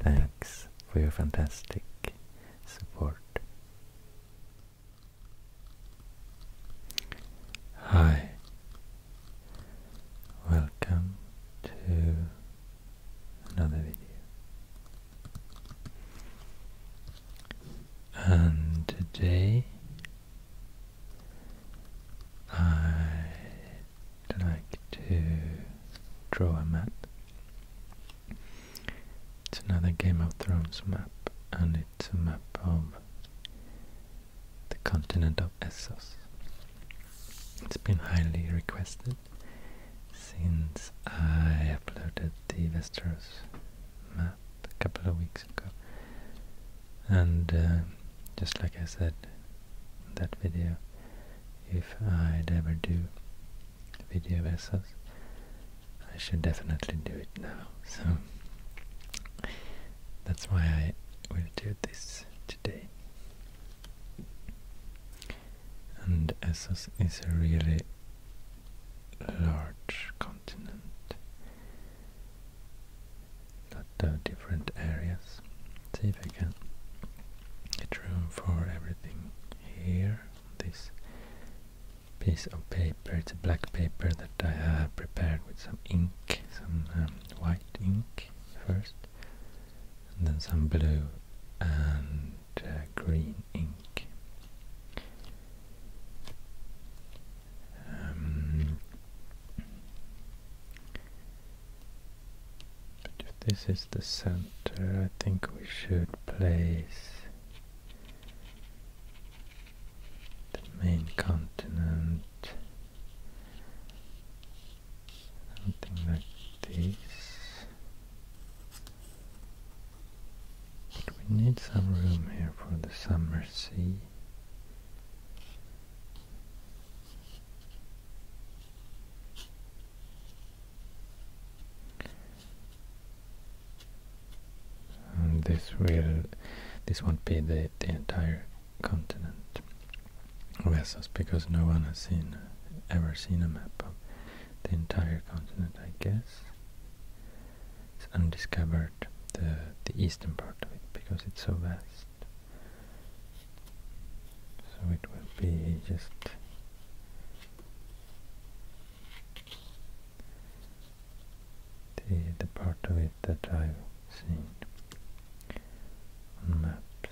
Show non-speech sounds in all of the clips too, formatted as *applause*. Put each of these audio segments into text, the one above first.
Thanks for your fantastic support. Hi, welcome to another video. And today I'd like to draw a map. It's another Game of Thrones map, and it's a map of the continent of Essos. It's been highly requested since I uploaded the Westeros map a couple of weeks ago. And uh, just like I said that video, if I'd ever do a video of Essos, I should definitely do it now. So that's why I will do this today. And Essos is a really large continent. Lot of different areas. See if I can get room for everything here. This piece of paper, it's a black paper that I have prepared with some ink, some um, white ink first, and then some blue and uh, green ink. Um, this is the center, I think we should place the main continent, something like this. But we need some room here for the summer sea. And this will, this won't be the, the entire continent of because no one has seen ever seen a map of the entire continent, I guess. It's undiscovered, the, the eastern part of it, because it's so vast. So it will be just the, the part of it that i maps.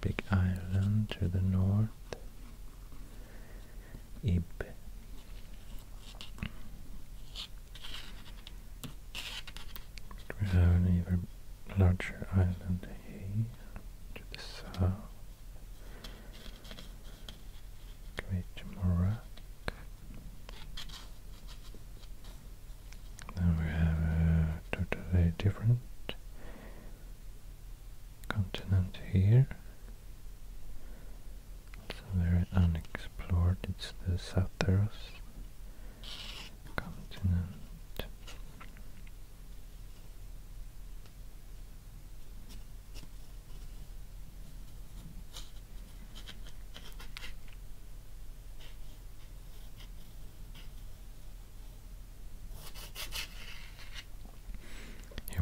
Big Island to the north, Ib. We have an even larger island here to the south. Great Morak. we have a totally different continent here. It's very unexplored, it's the Satharos continent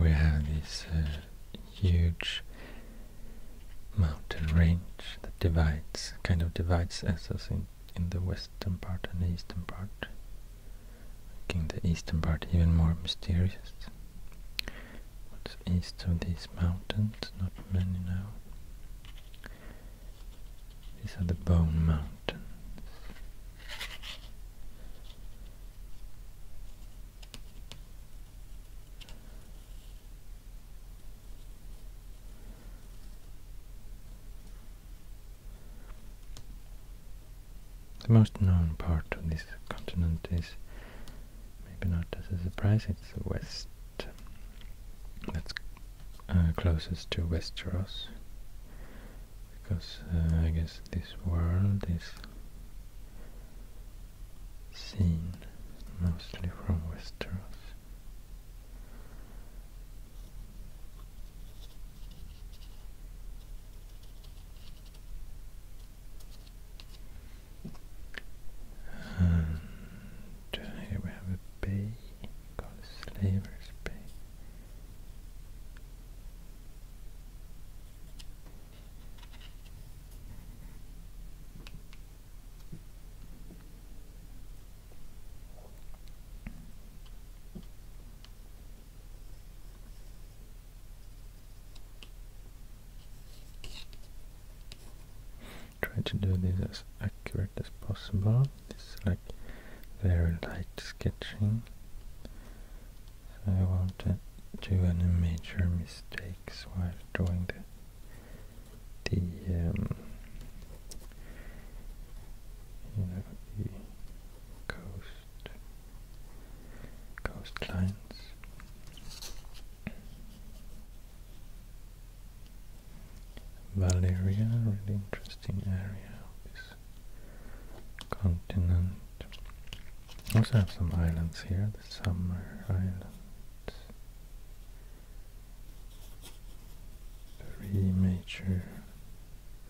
we have this uh, huge mountain range that divides, kind of divides Essos in, in the western part and the eastern part making the eastern part even more mysterious. east of these mountains? Not many now. These are the Bone Mountains. The most known part of this continent is, maybe not as a surprise, it's the west. That's uh, closest to Westeros, because uh, I guess this world is seen mostly from Westeros. And uh, here we have a bay called Slaver's Bay. Try to do this as accurate as possible. This is like very light sketching. I won't uh, do any major mistakes while drawing the the um, you know the coast coastlines. Valeria, really interesting area of this continent. Also have some islands here, the Summer Islands. Three major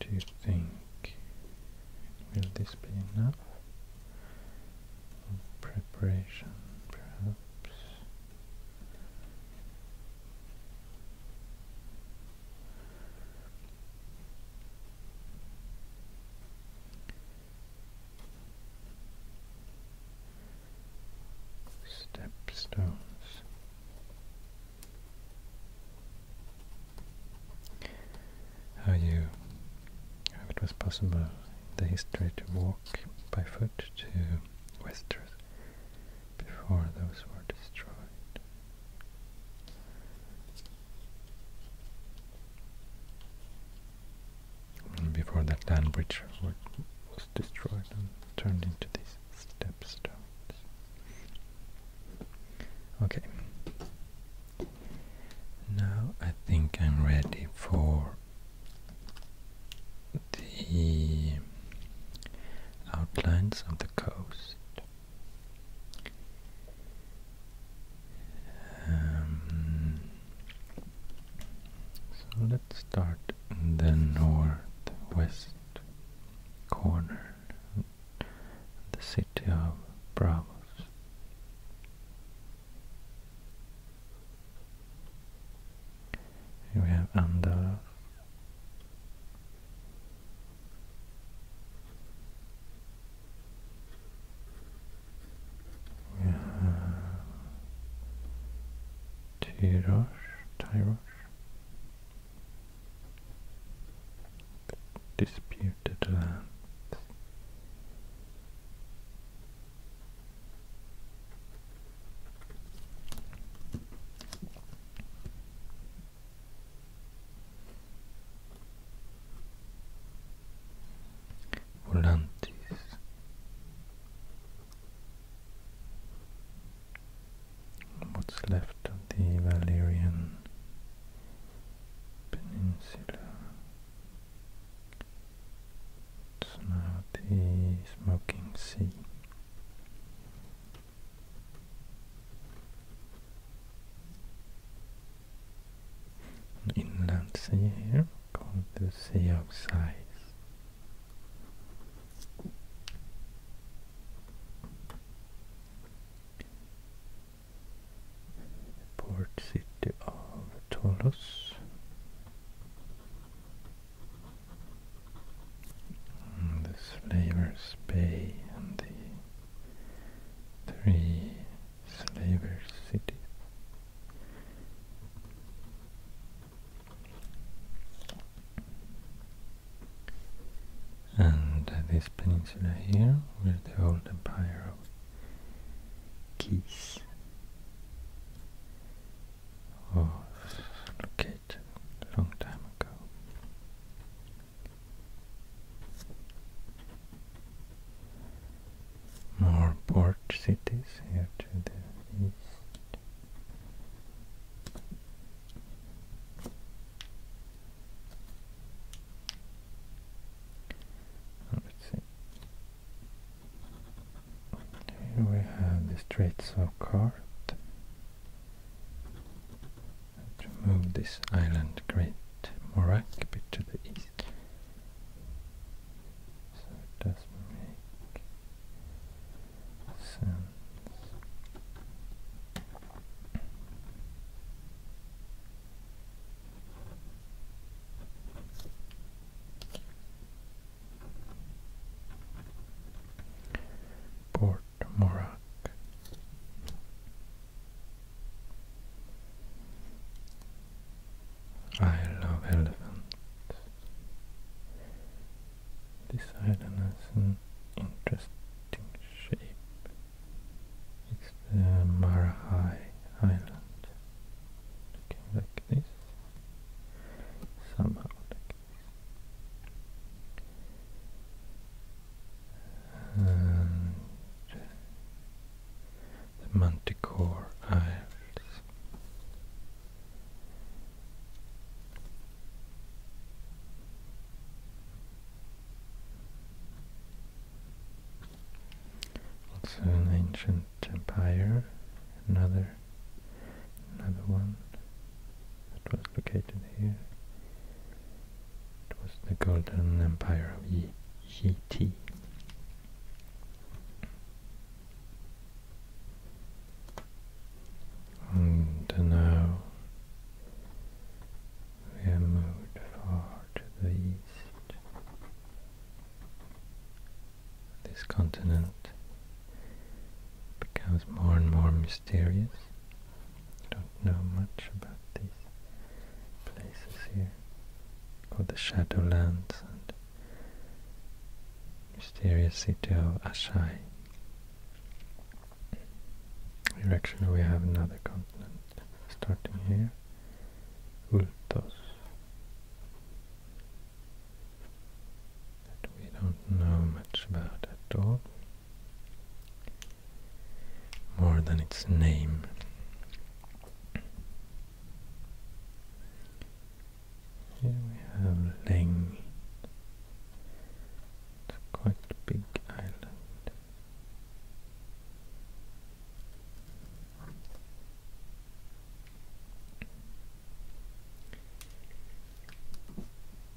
Do you think will this be enough? Preparation, perhaps. Stepstones. How you, how it was possible in the history to walk by foot to Westeros before those were destroyed before that land bridge was destroyed and turned into these stepstones. Okay. Now I think I'm ready for the outlines of the coast. Um, so let's start in the northwest corner, the city of Bravos. we have Andorra. Tyros, Tyros, Disputed lands volantes what's left of the Valerian Peninsula it's now the Smoking Sea an inland sea here called the Sea of Sighs. Port city of Tolos. And the Slavers Bay and the three Slaver cities. And this peninsula here, where the old empire of Keys was located a long time ago more port cities here to the east. Oh, let's see. Here we have the Straits of Cart. To move this island, Great Morak, a bit to the east so it does make sense. Port Morak. I love elephants. This island has an interesting shape. It's the Mara Marahai Island. Looking like this. Somehow the Manticore Isles. Also an ancient empire, another another one that was located here. It was the Golden Empire of Yi and now we have far to the east. This continent becomes more and more mysterious. I don't know much about these places here. Called the Shadowlands and mysterious city of Ashai. Direction we have another continent, starting here, Ultos. That we don't know much about at all, more than its name. Here we have Leng. quite big island.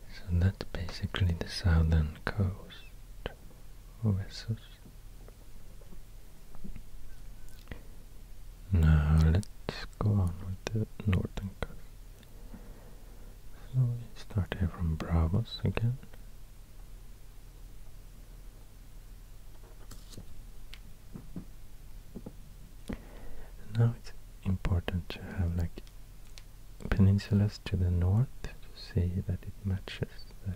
So that's basically the southern coast of now let's go on with the northern curve. So we start here from Bravos again. now it's important to have like peninsulas to the north to see that it matches the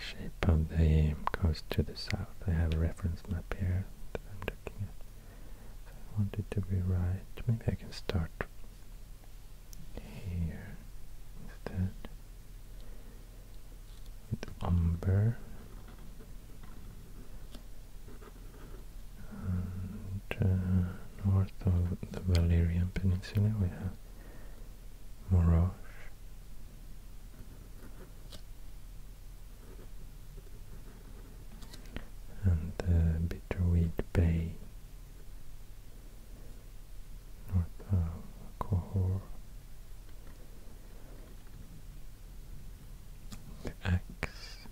shape of the coast to the south. I have a reference map here I'm want it to be right. Maybe I can start here instead with umber and uh, north of the Valerian Peninsula we have Moros and the Bitterweed Bay north of The axe.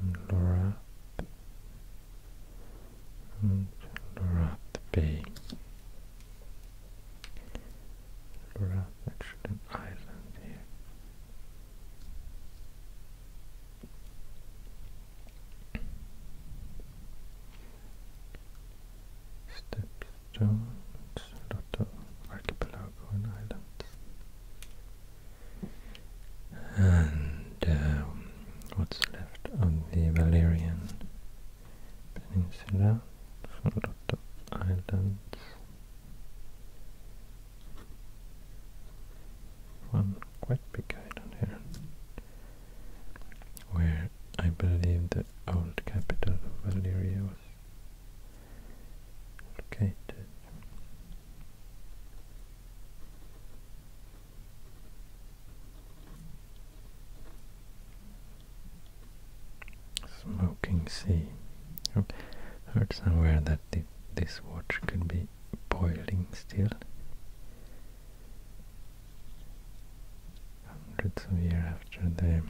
And and Lorath Bay. Lorath, actually an island here. Stepstone, it's a archipelago and islands. Um, and what's left of the Valerian peninsula, a lot of islands, one quite big island here, where I believe the old capital of Valyria was located. Smoking sea. heard somewhere that this watch could be boiling still. Hundreds of years after the,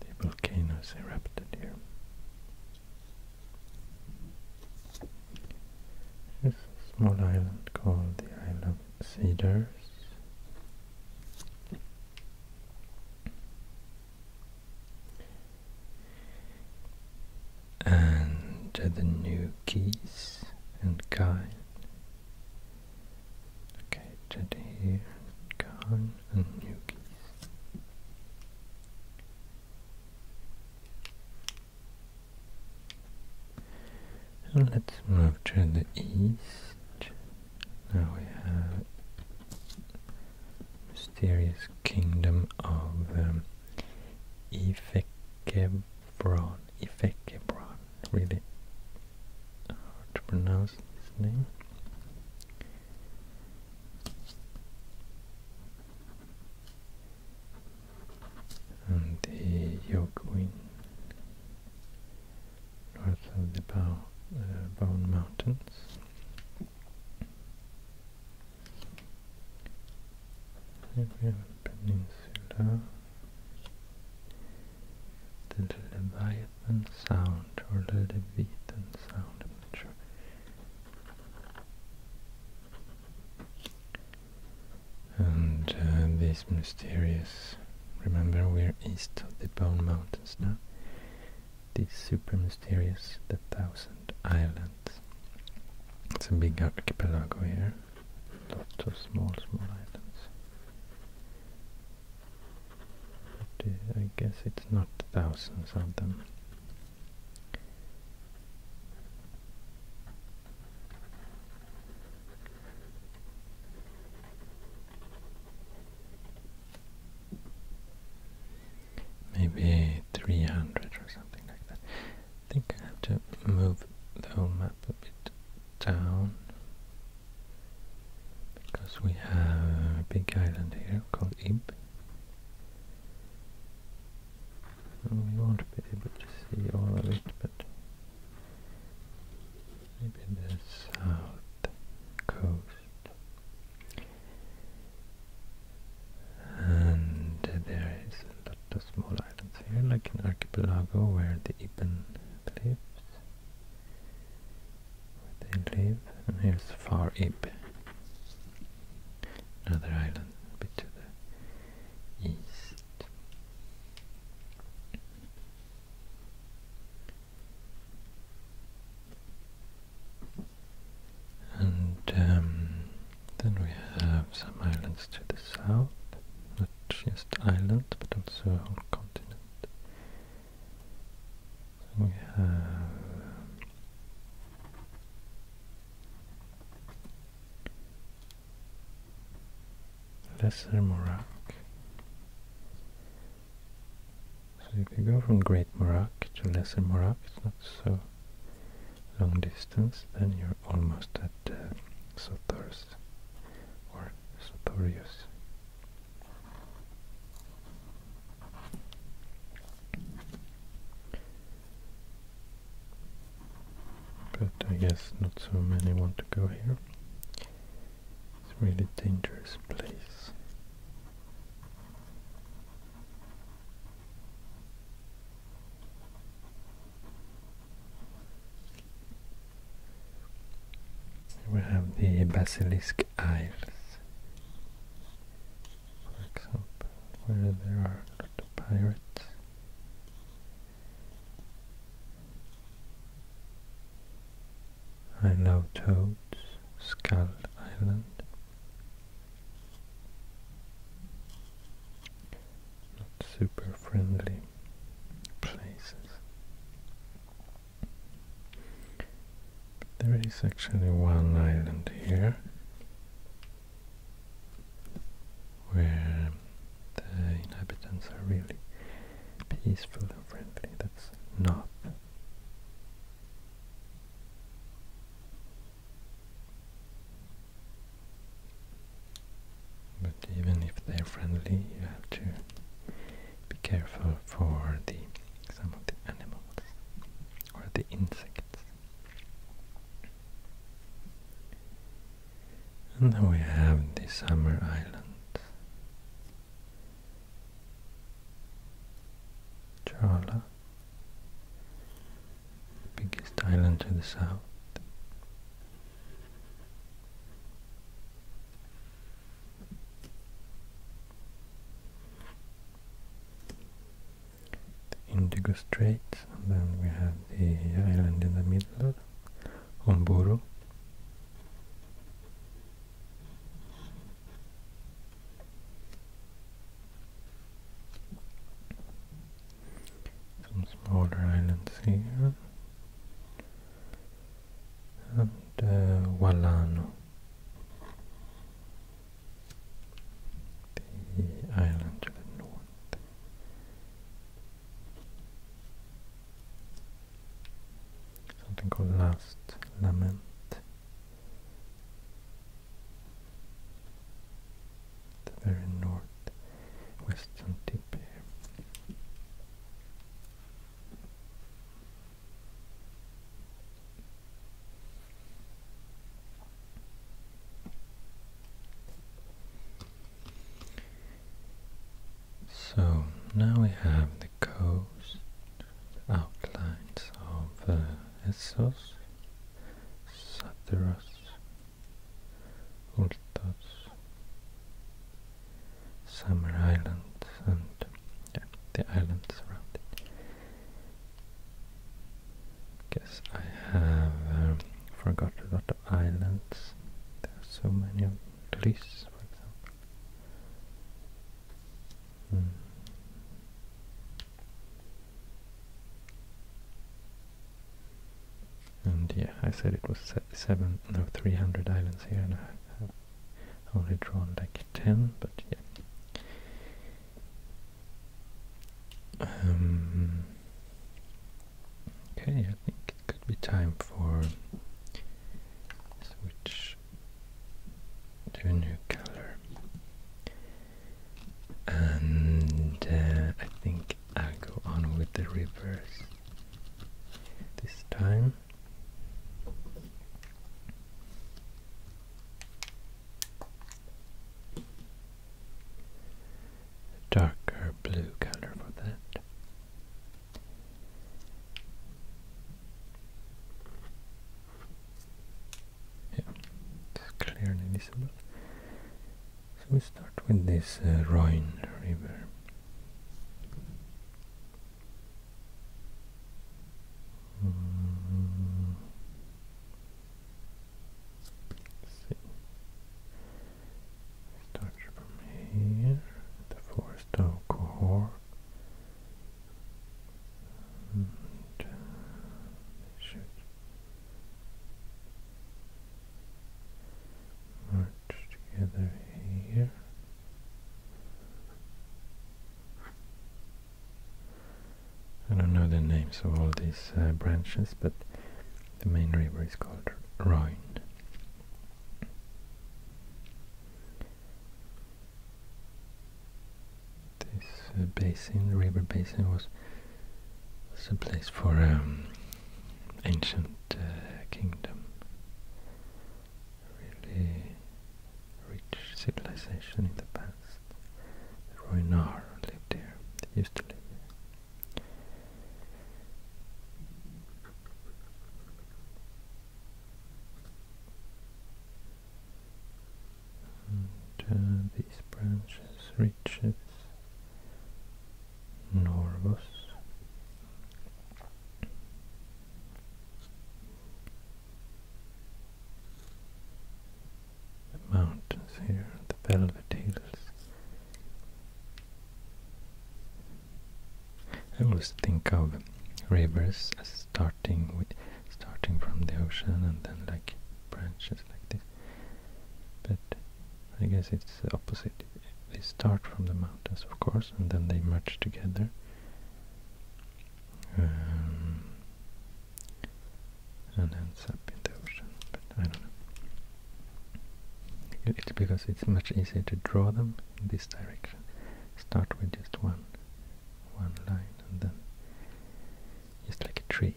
the volcanoes erupted here. There's a small island called the Isle cedars and the new keys and kind located here Khan and new let's move to the east. Now we have mysterious kingdom of um, Ifekebron. Ifekebron, really hard to pronounce this name. And the Yoguin north of the Bow, uh, Bone Mountains. Here we have the peninsula, the Leviathan Sound or the Leviathan Sound, and uh, this mysterious remember we're east of the Bone Mountains now This super mysterious the Thousand Islands it's a big archipelago here lots of small small islands but uh, I guess it's not thousands of them Maybe 300 or something like that. I think I have to move the whole map a bit down because we have a big island here called Ib. And we won't be able to see all of it, but maybe the south coast. And there is a lot of small islands here, like an archipelago where the Iban lives, where they live, and here's Far Iban, another island a bit to the east. And um, then we have some islands to the south, not just islands but also a whole continent. we have Lesser Morak. So if you go from Great Morak to Lesser Morak, it's not so long distance, then you're almost at uh, Sothur's or Sothurius. But I guess not so many want to go here. It's a really dangerous place. We have the Basilisk Isles, for example, where there are the pirates. I love toads, Skull Island. Not super friendly places. there is actually one island here where the inhabitants are really peaceful and friendly. That's not. But even if they're friendly, you have to be careful for the some of the animals or the insects. And then we have the Summer Island, Chawla, biggest island to the south. The Indigo Straits, and then we have the island in the middle, Omburu, some smaller islands here. And uh, the island to the north something called Last Lament. The very northwestern tip here. So now we have the coast, the outlines of uh, Essos, Satyros, Ultos, Summer Islands, and the islands around it. Guess I have forgotten um, forgot a lot of islands. There are so many of Greece, for example. Hmm. And yeah, I said it was seven, no, 300 islands here, and I only drawn like 10, but yeah. Um, okay, I think could be time for switch to a new color. And uh, I think I'll go on with the reverse this time. darker blue color for that. Yeah, it's clearly visible. So we start with this uh, Rhine River. Mm from here, the four-star core, and together here. I don't know the names of all these uh, branches, but the main river is called Rhine. This uh, basin, river basin, was, was a place for um, ancient uh, kingdom, really rich civilization in the past. The lived here, they used to live and these branches reaches Norvos the mountains here, the velvet hills I always think of rivers starting with starting from the ocean and then like branches like this. But I guess it's the opposite. They start from the mountains, of course, and then they merge together. Um, and ends up in the ocean, but I don't know. It's because it's much easier to draw them in this direction. Start with just one, one line and then just like a tree.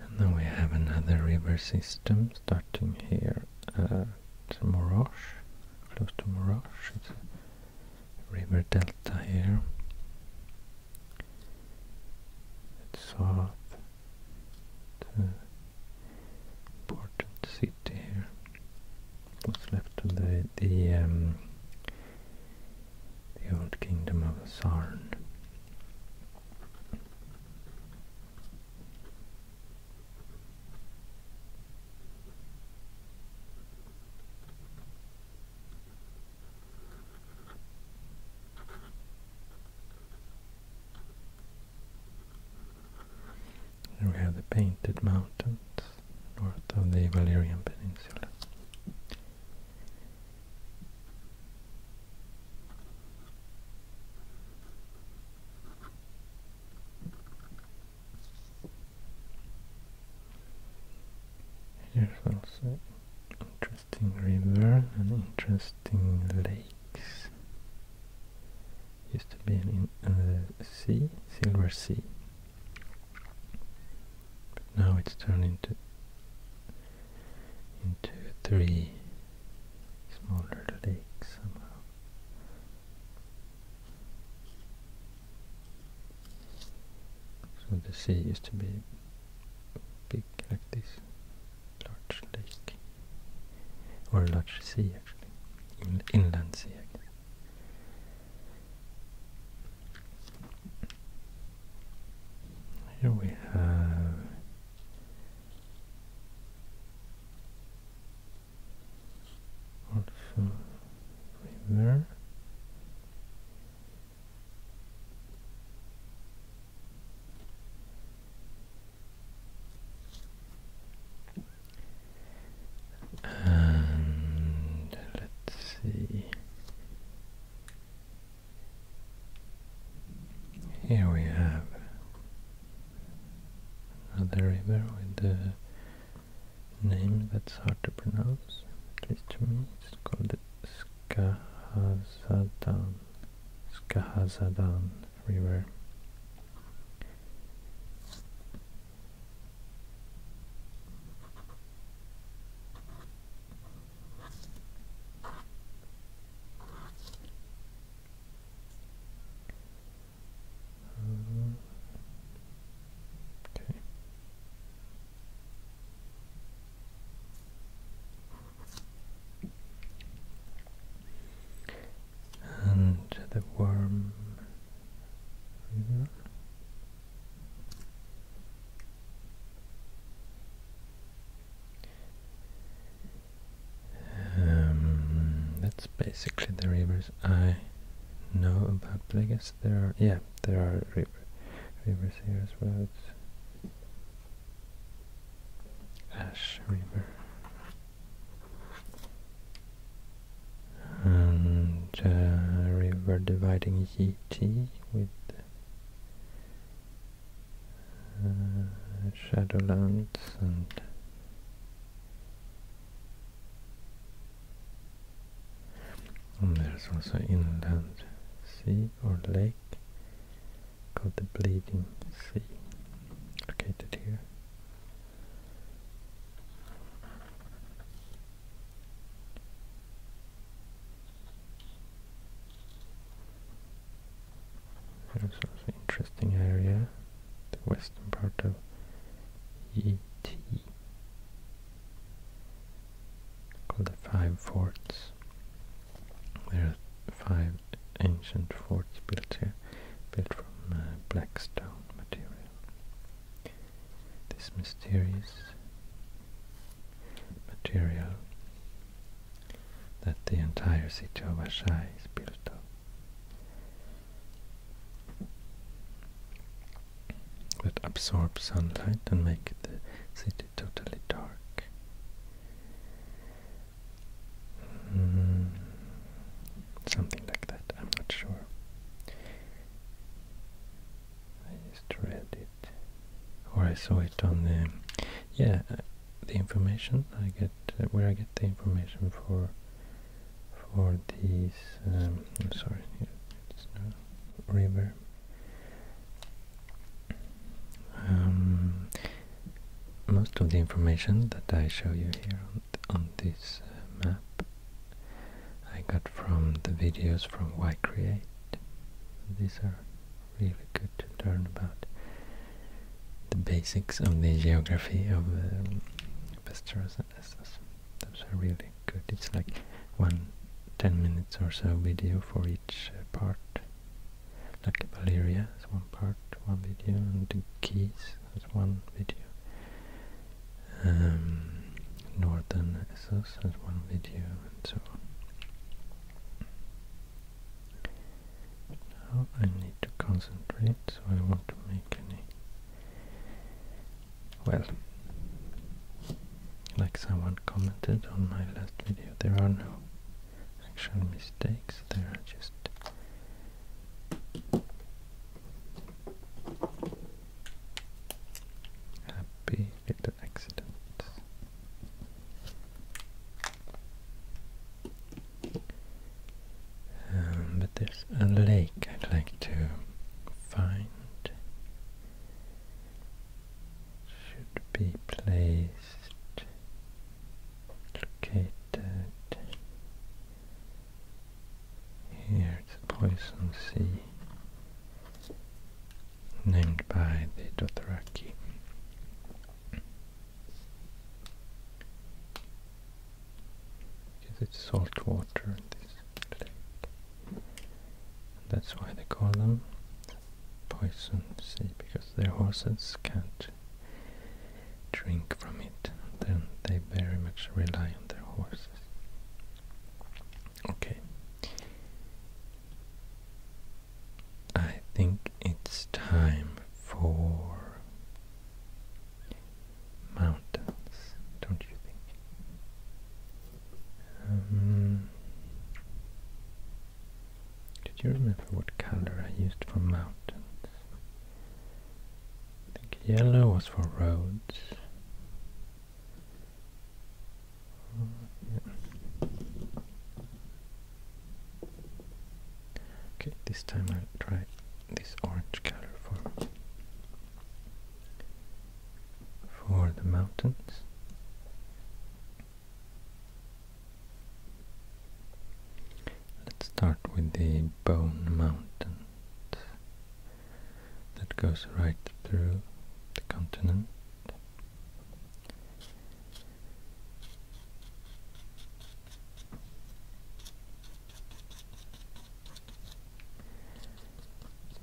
And now we have another river system starting here at Moroche, close to Moroche. river delta here. It's south important city here. What's left of the the um, old kingdom of Sarn. Here we have the Painted Mountains, north of the Valerian Peninsula. Here's also interesting river, and interesting lake used to be in, in the sea, Silver Sea. But now it's turned into into three smaller lakes somehow. So the sea used to be big like this large lake, or large sea actually, inland sea I Here we have also river and let's see. Here we have another river with the name that's hard to pronounce, at least to me. It's called Skahazadan. Skahazadan everywhere. Uh, okay and the warm um, that's basically the rivers I know about, but I guess there are, yeah, there are rivers here as well. Ash River and uh, river dividing GT with uh, Shadowlands and there's also inland sea or lake called the Bleeding Sea, located here. There's also an interesting area, the western part of ET, called the Five Forts. There are five ancient forts built here, built from uh, black stone material. This mysterious material that the entire city of Ashai is built of. That absorbs sunlight and makes the city totally dark. Mm-hmm. something like that, I'm not sure. I just read it, or I saw it on the, yeah, uh, the information I get, uh, where I get the information for, for these, um, I'm sorry, it's no river. Um, most of the information that I show you here on, this uh, map I got from the videos from Why Create. These are really good to learn about the basics of the geography of the um, Pesturus and Essos. Those are really good. It's like one ten minutes or so video for each uh, part like Valeria is one part, one video, and the Keys is one video. Um, Northern Essos has one video, and so on. now I need to concentrate, so I won't make any. Well, like someone commented on my last video, there are no actual mistakes there are just happy little accidents. Um, but there's a lake I'd like to find. Should be placed located here the Poison Sea named by the Dothraki. Because it's salt water, this That's why they call them Poison Sea, because their horses can't drink from it, then they very much rely on their horses. Okay. I think it's time for mountains, don't you think? Um, did you remember what color I used for mountains? I think yellow was for roads. Okay, this time I'll try this orange color for for the mountains. Let's start with the Bone Mountain that goes right through the continent.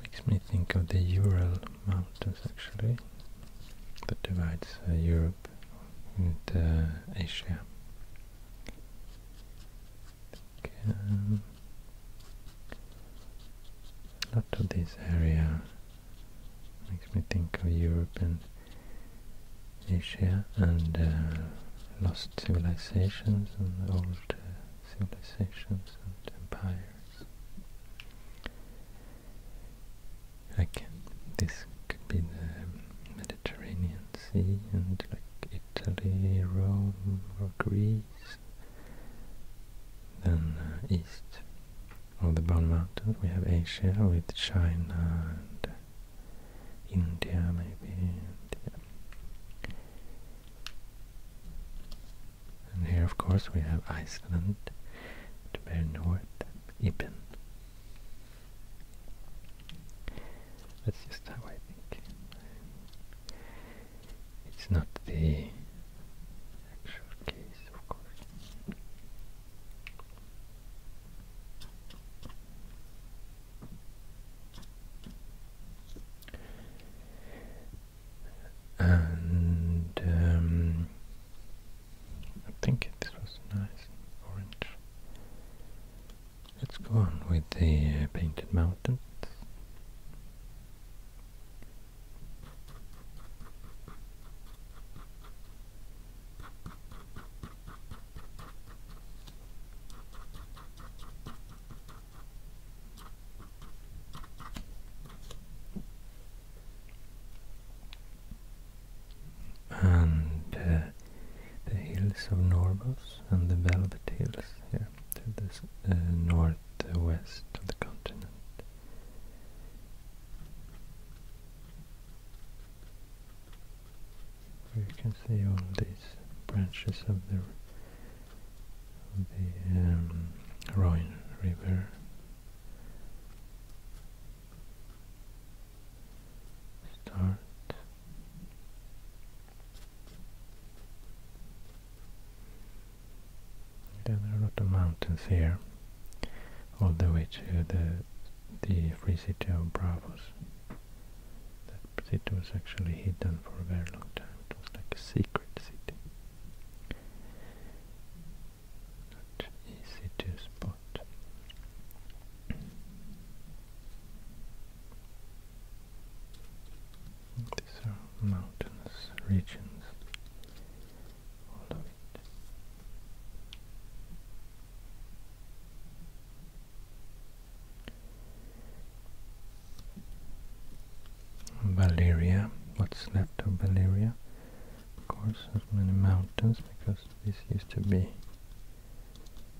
Makes me think of the Ural Mountains actually, that divides uh, Europe and uh, Asia. Um, a lot of this area makes me think of Europe and Asia and uh, lost civilizations and old uh, civilizations and empires. Like this could be the Mediterranean Sea and like Italy, Rome or Greece. Then uh, east of the Brown Mountains we have Asia with China and India maybe. And, here of course we have Iceland to bear north, Ibn. That's just how I think. It's not the actual case, of course. And um, I think this was nice orange. Let's go on with the uh, painted mountains. And uh, the hills of Norvos and the Velvet Hills here to the uh, northwest of the continent. you can see all these branches of the of the um, River start there are a lot of mountains here all the way to the the free city of Bravos that city was actually hidden for a very long time it was like a secret city not easy to spot these are regions, Valeria, what's left of Valeria? Of course, there's many mountains because this used to be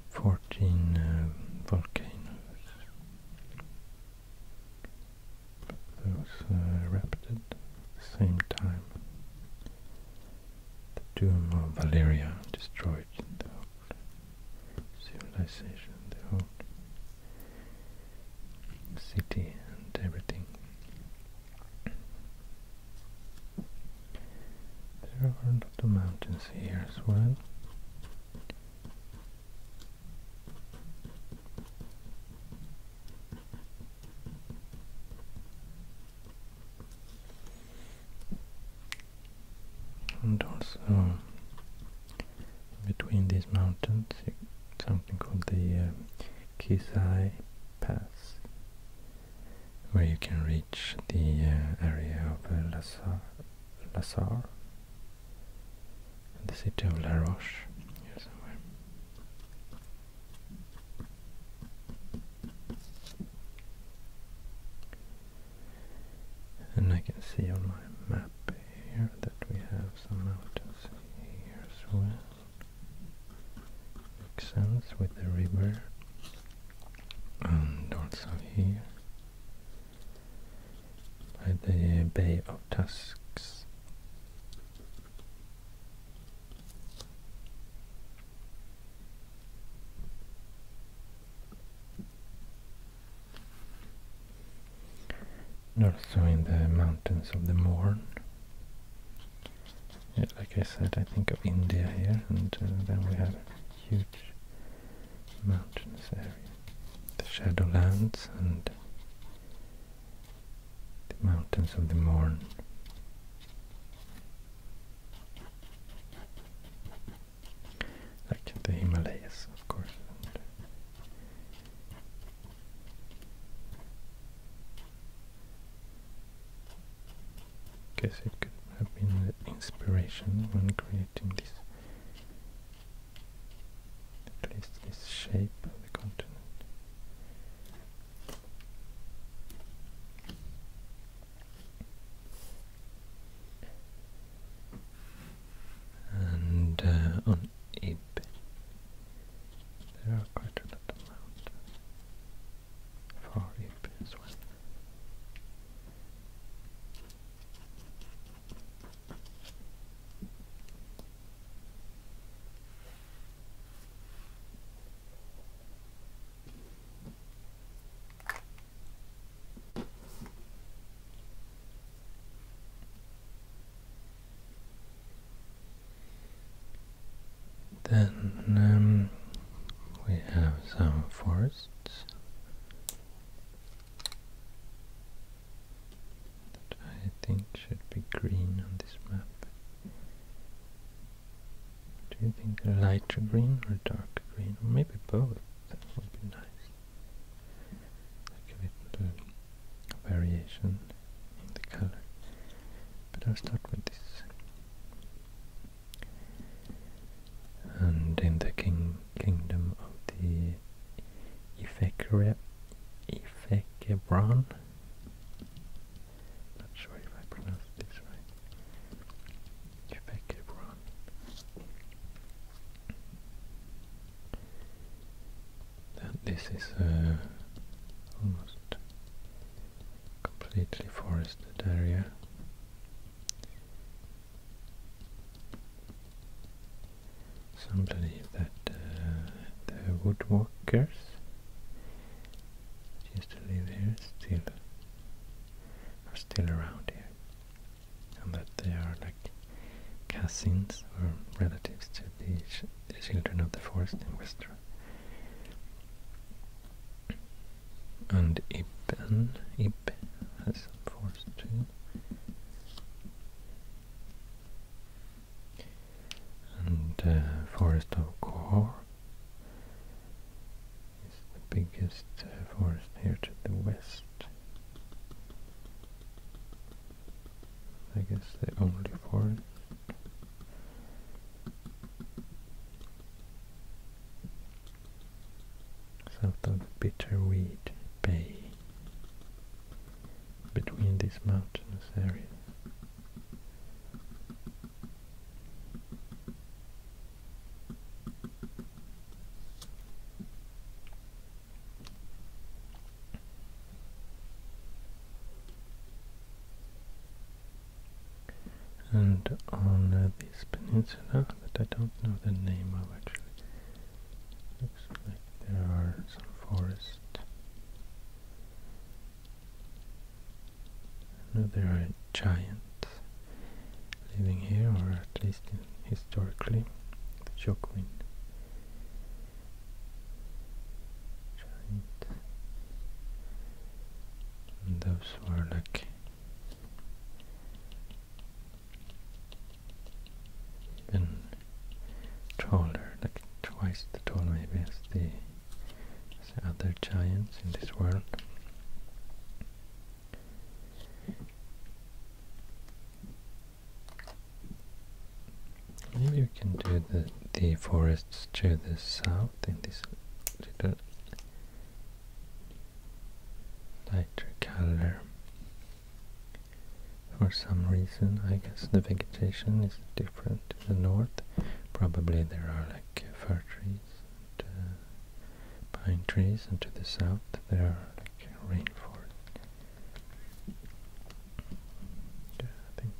14 uh, volcanoes, but those uh, erupted at the same time. The doom of Valeria destroyed the whole civilization, the whole city and everything. There are a mountains here as well. And also between these mountains something called the uh, Kisai Pass where you can reach the uh, area of uh, Lazar, Lazar, the city of La Roche, here somewhere. And I can see on my map here that we have some mountains here as well. Makes sense with the river and also here by the Bay of Tusks. And also in the mountains of the Morn. like I said, I think of India here, and uh, then we have huge mountainous area. The Shadowlands and the mountains of the Morn. Like the Himalayas, of course. I guess it could have been the inspiration when creating creating this shape of the continent. And uh, on Ib there are quite a lot of mountains for Ib as well. Then um, we have some forests I think should be green on this map. Do you think lighter green or darker green? Or maybe both. That would be nice. Like a variation in the color. But I'll start with this and in the king kingdom of the Ifekre Ifekebran, not sure if I pronounced this right, Ifekebran. That this is a uh, almost completely forested area some believe that uh, the woodwalkers used to live here still are still around here, and that they are like cousins or relatives to the, children of the forest in Westeros and Ipan Ipan has some forest too. And uh, Forest of Kor is the biggest uh, forest here to the west. I guess the only forest south of Bitterweed Bay, between these mountainous areas. And on uh, this peninsula that I don't know the name of actually there are some forests. there are giants living here, or at least historically, the Jokwin. Giant. And those were like even taller, like twice the tall maybe as the, the other giants in this world. Maybe we can do the, the forests to the south in this little lighter color. For some reason, I guess the vegetation is different to the north. Probably there are like fir trees uh, pine trees, and to the south there are like rainforest. I think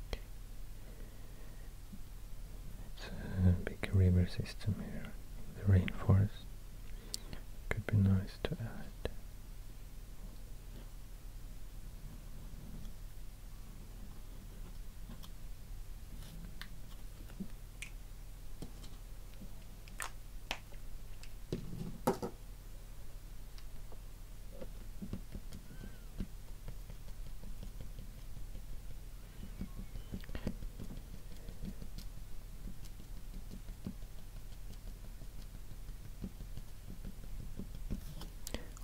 it's a big river system here, the rainforest. Could be nice to add.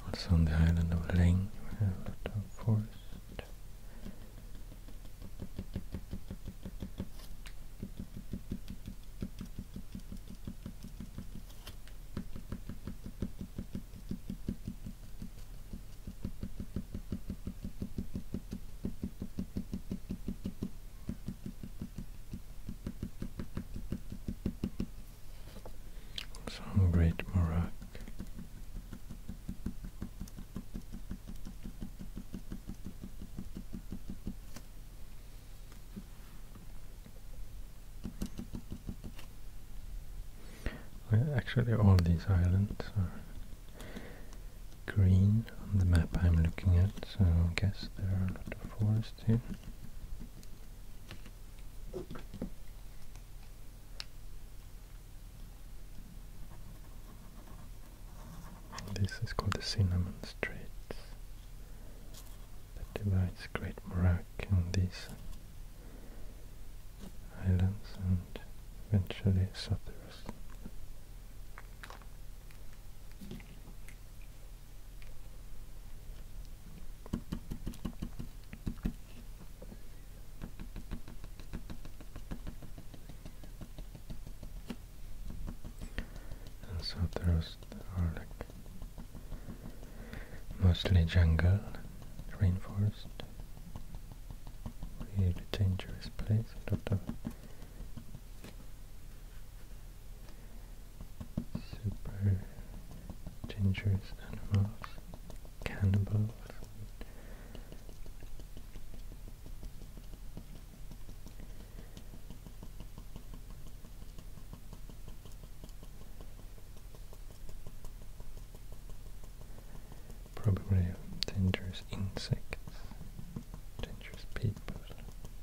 Also on the island of Ling we have a lot of forest. Some great Morocco. Actually, all these islands are green on the map I'm looking at, so I guess there are a lot of forests here. This is called the Cinnamon Straits, that divides Great Morak and these islands and eventually Sotheros so the are like mostly jungle, rainforest, really dangerous place, super dangerous animals, cannibals. Probably dangerous insects, dangerous people.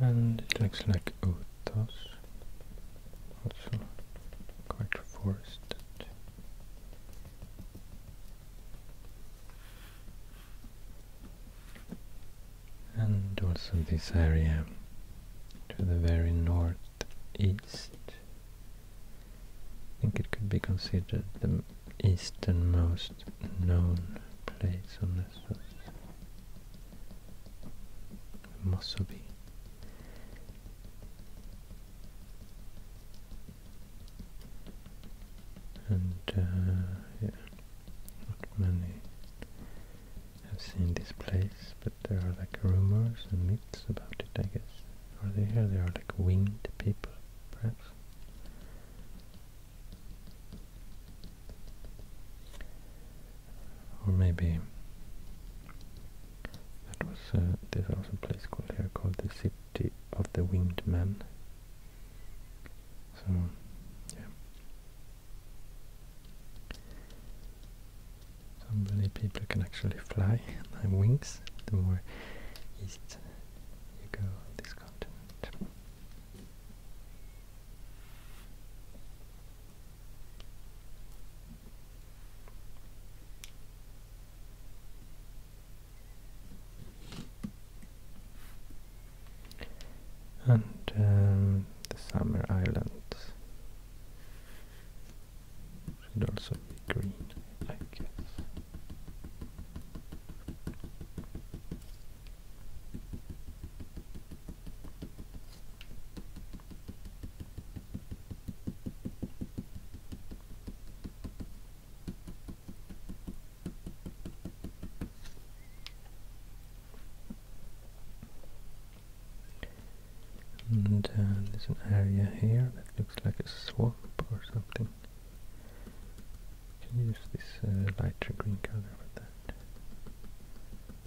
and it looks like Otas also quite forested and also this area to the very northeast I think it could be considered the easternmost known place on this earth Musubi. And uh, yeah, not many have seen this place, but there are like rumors and myths about it, I guess. Are they here? They are like winged people, perhaps. Or maybe that was uh, there's also a place called here uh, called the City of the Winged Man. So yeah. So many people can actually fly and have wings the more east you go on this continent and um, the summer islands should also be green I guess and uh, there's an area here that looks like a swamp or something. Can use this uh, lighter green color for that.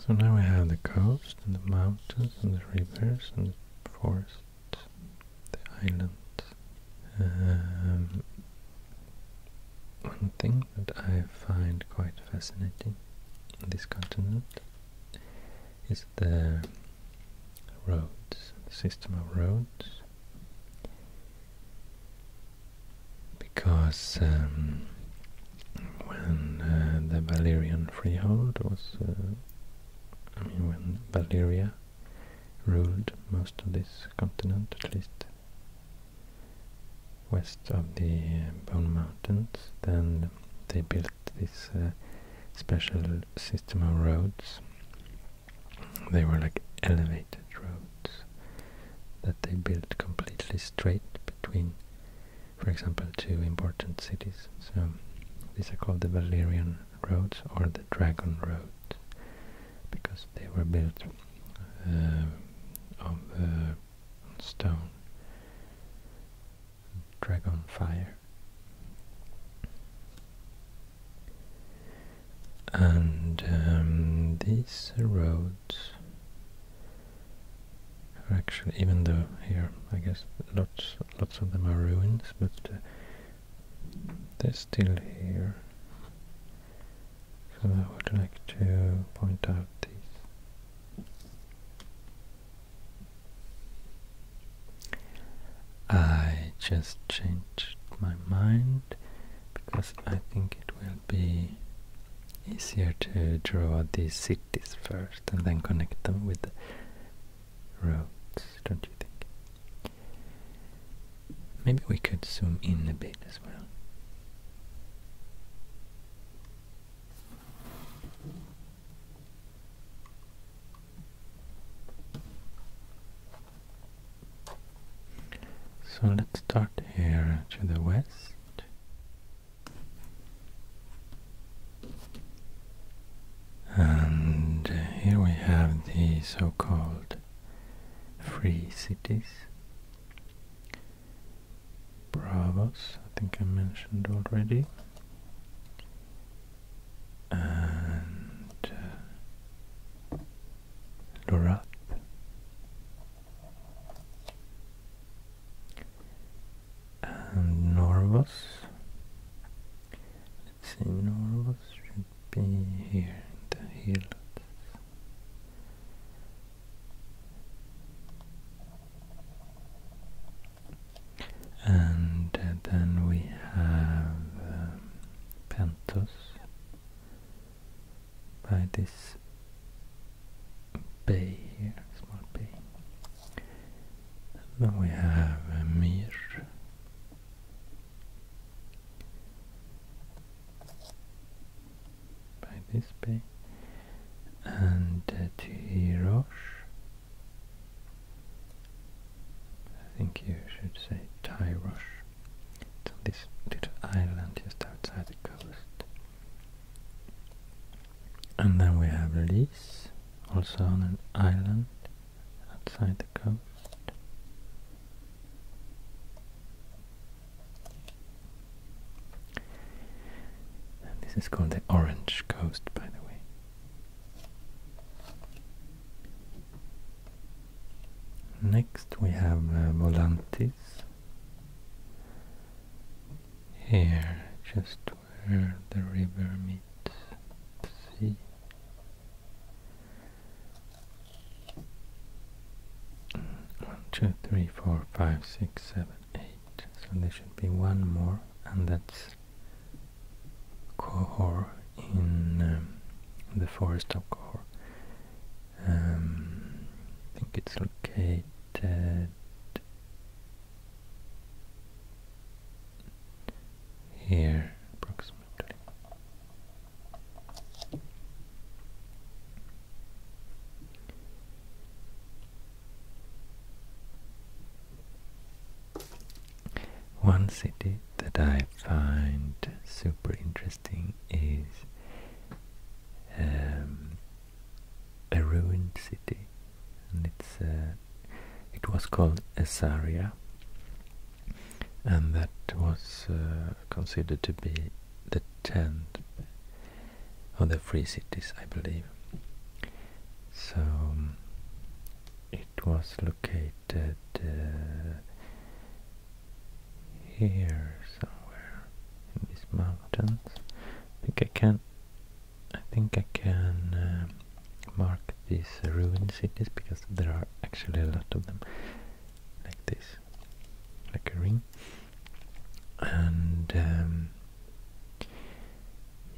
so now we have the coast and the mountains and the rivers and the forest, the island. Um, one thing that I find quite fascinating in this continent is the roads, the system of roads because um, when uh, the Valerian freehold was, uh, I mean, when Valeria ruled most of this continent, at least west of the uh, Bone Mountains, then they built this special system of roads. They were like elevated roads that they built completely straight between for example, two important cities. So these are called the Valerian roads or the Dragon roads because they were built uh, of uh, stone, dragon fire. And um, these roads actually, even though here, I guess lots lots of them are ruins, but uh, they're still here. So I would like to point out these. I just changed my mind because I think it will be easier to draw these cities first and then connect them with the roads, don't you think? Maybe we could zoom in a bit as well. So let's start here to the west and here we have the so-called free cities. Bravos, I think I mentioned already. And uh, and Norvos. Let's see, Norvos should be here in the hills. And uh, then we have um, Pentos by this bay here, small bay. And then we have a uh, Mir. By this bay. And uh, Tirosh. I think you should say tyros. It's on this little island just outside the coast. And then we have Lise, also on an island outside the coast. this is called the Orange Coast, by the way. Next we have uh, Volantis here, just where the river meets the sea. One, two, three, four, five, six, seven, eight. So there should be one more, and that's Kohor in um, the forest of Kohor. Um, I think it's located here approximately. One city that I find super interesting is um, a ruined city, and it's uh, it was called Asaria, and that was uh, considered to be the tenth of the free cities, I believe. So um, it was located uh, here somewhere in these mountains. I think I can I think I can uh, mark these uh, ruined cities because there are actually a lot of them like this like a ring and um,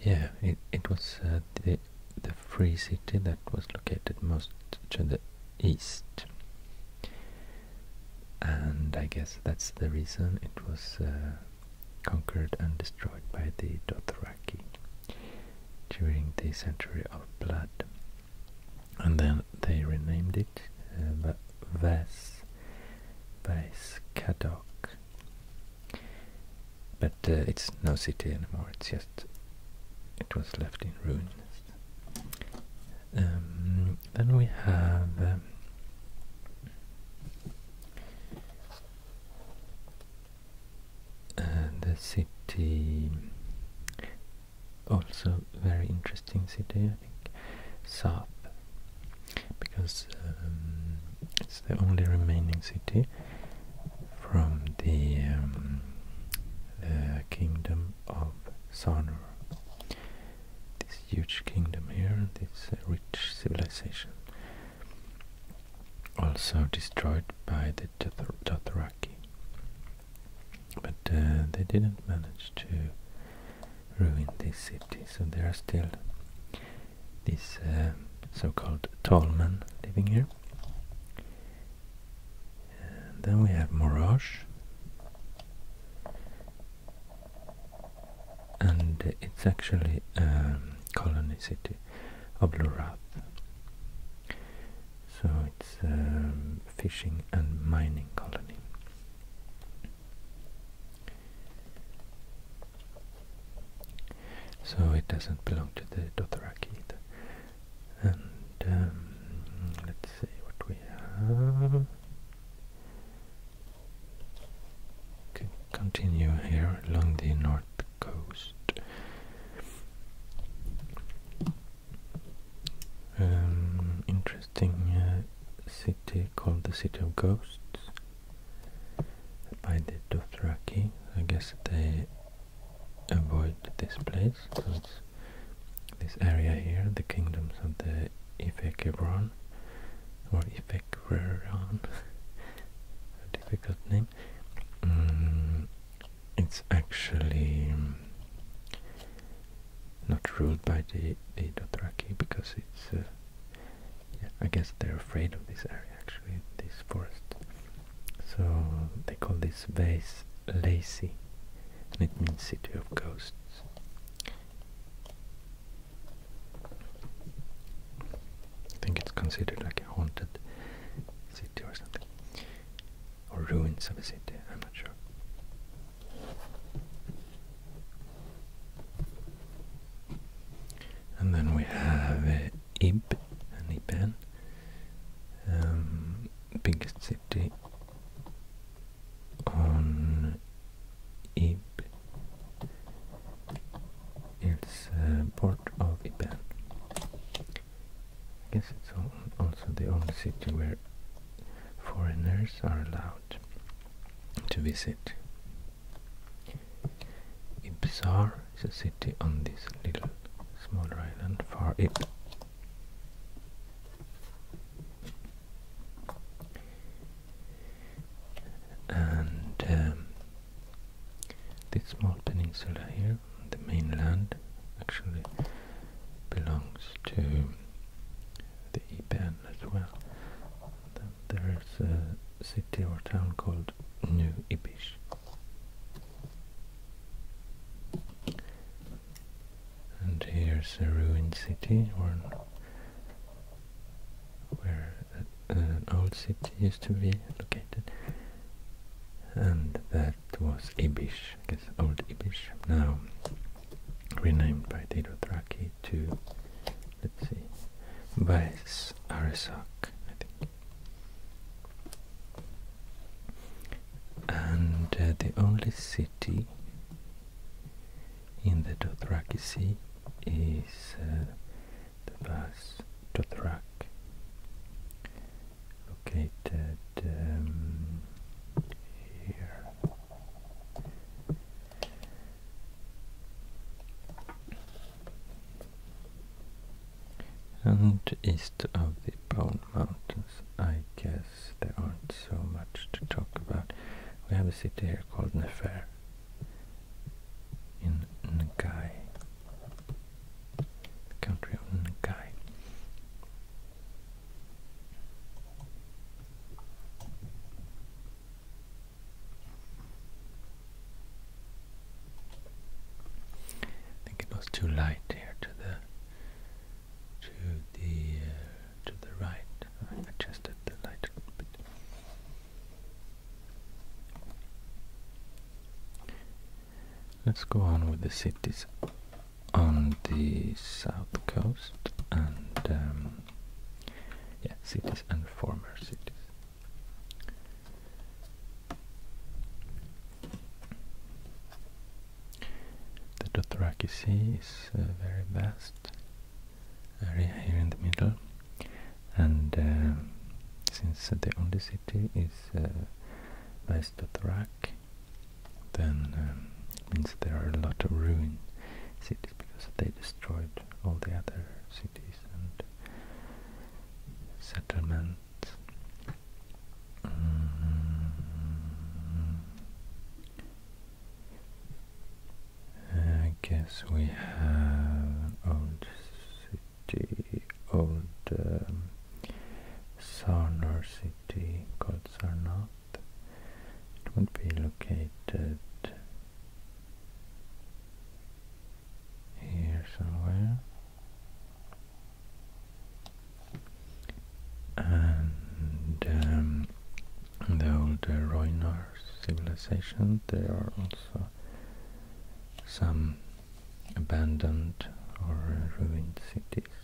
yeah it, it was uh, the, the free city that was located most to the east and I guess that's the reason it was conquered and destroyed by the Dothraki during the Century of Blood. And then they renamed it uh, Vas Kadok. But uh, it's no city anymore, it's just it was left in ruins. Um, then we have um, uh, the city, also very interesting city, I think, Saab, because um, it's the only remaining city from the, um, kingdom of Sarnur this huge kingdom here and this uh, rich civilization. Also destroyed by the Dothr Dothraki. But uh, they didn't manage to ruin this city, so there are still these uh, so-called tall men living here. then we have Morage and it's actually a um, colony city of Lorath. So it's a um, fishing and mining colony. So it doesn't belong to the Dothraki either. And um, let's see what we have continue here along the north coast. Um, interesting uh, city called the City of Ghosts by the Dothraki. I guess they avoid this place. So it's this area here, the kingdoms of the Ifekebron or Ifekveran, a difficult name. Mm, it's actually um, not ruled by the, the because it's, uh, I guess they're afraid of this area actually, this forest. So they call this vase Lacy, and it means city of ghosts. I think it's considered like a haunted city or something. Or ruins of a city, I'm not sure. And then we have uh, and Ipan, um, biggest city on Ib. It's uh, part of Iban. I guess it's also the only city where foreigners are allowed to visit. Ibsar is a city on this little smaller island, Far Ib and um, this small peninsula here, the mainland, actually belongs to the Ipan as well. there is a city or town called New Ipish, And here's a ruined city, where uh, an old city used to be located and that was Ibish, I guess old Ibish, now renamed by Didothraki to, let's see, Bais Arisak, I think. And uh, the only city in the Dothraki Sea is uh, Thus, Tothrak, located um, here. And east of the Bone Mountains, I guess there aren't so much to talk about. We have a city here called Nefar in Nagai, the country of Nagai. I think it was too light here to the to the uh, to the right. I adjusted the light a bit. Let's go on with the cities on the south coast and um, yeah, cities and former cities. The Dothraki Sea is uh, very vast area here in the middle and um, since the only city is uh, Vaistotrak then um, it means there are a lot of ruined cities because they destroyed all the other cities and settlements mm-hmm. I guess we have old city, old um, Sarnar city called Sarnath. It would be located here somewhere. And um, the old uh, Roynar civilization, they are also some abandoned or ruined cities.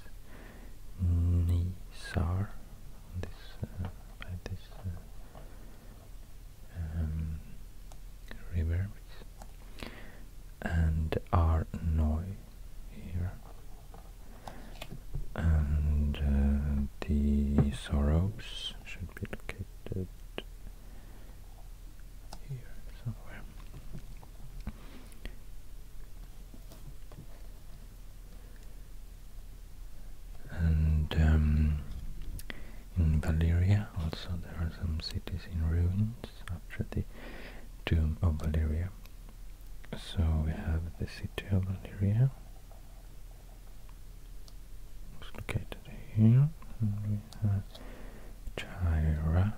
Nisar, this, uh, by this uh, um, river, and Arnoy here, and uh, the Soros should be located here somewhere. And um, in Valeria also there are some cities in ruins after the tomb of Valeria. So we have the city of Valeria it's located here, and we have Tyra.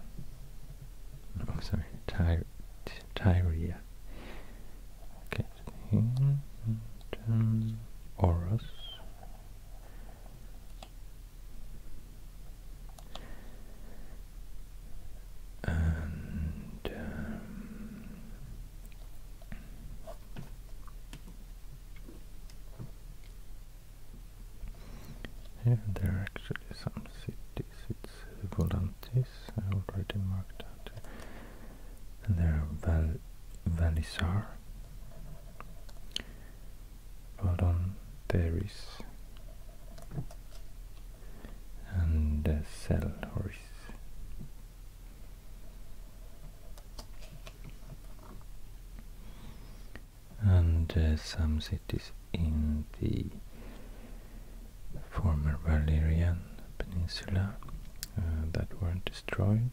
No, oh, sorry, Ty Tyria. Located here, and um, Oros. And um, here there are actually some cities, it's Volantis, I already marked out here. And there are Val Valisar, Valdon, Paris, and uh, Selhoris and uh, some cities in the former Valerian Peninsula uh, that were destroyed.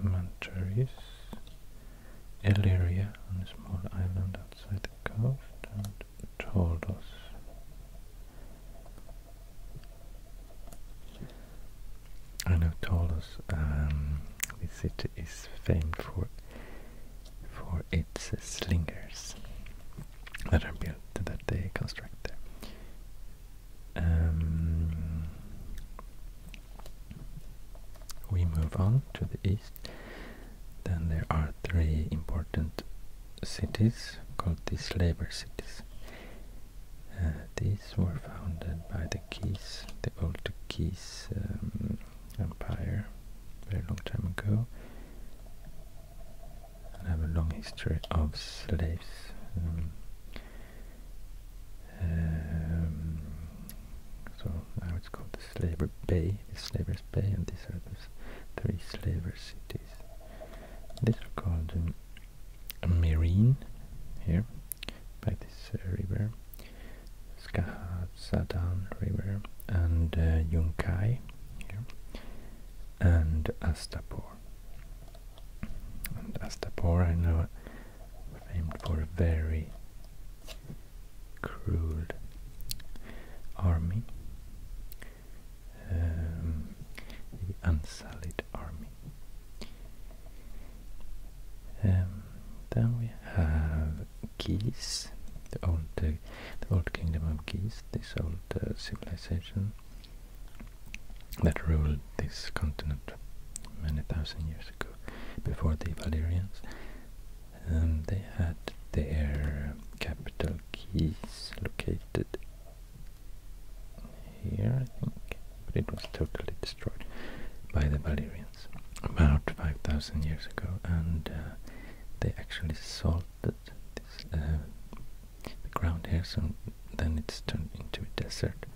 Mantaris, Illyria on a small island outside the coast, and Tordos. And know Tordos um, the city is famed for for its slingers that are built that they construct there. Um, we move on to the east. Then there are three important cities called the slaver cities. Uh, were founded by the Keys, the old Keys um, empire, very long time ago, and have a long history of slaves. Um, um, so now it's called the Slaver Bay, the Slavers Bay, and these are the three slaver cities. These are called um, Marine here by this River, Skahadzadan River, and uh, Yunkai here, and Astapor. And Astapor, I know, famed for a very cruel army, um, the Unsullied Army. Um, then we have Geese, the old the old kingdom of Geese, this old uh, civilization that ruled this continent many thousand years ago, before the Valyrians. Um, they had their capital Geese located here, I think, but it was totally destroyed by the Valyrians about 5,000 years ago and uh, they actually salted uh, the ground here so then it's turned into a desert.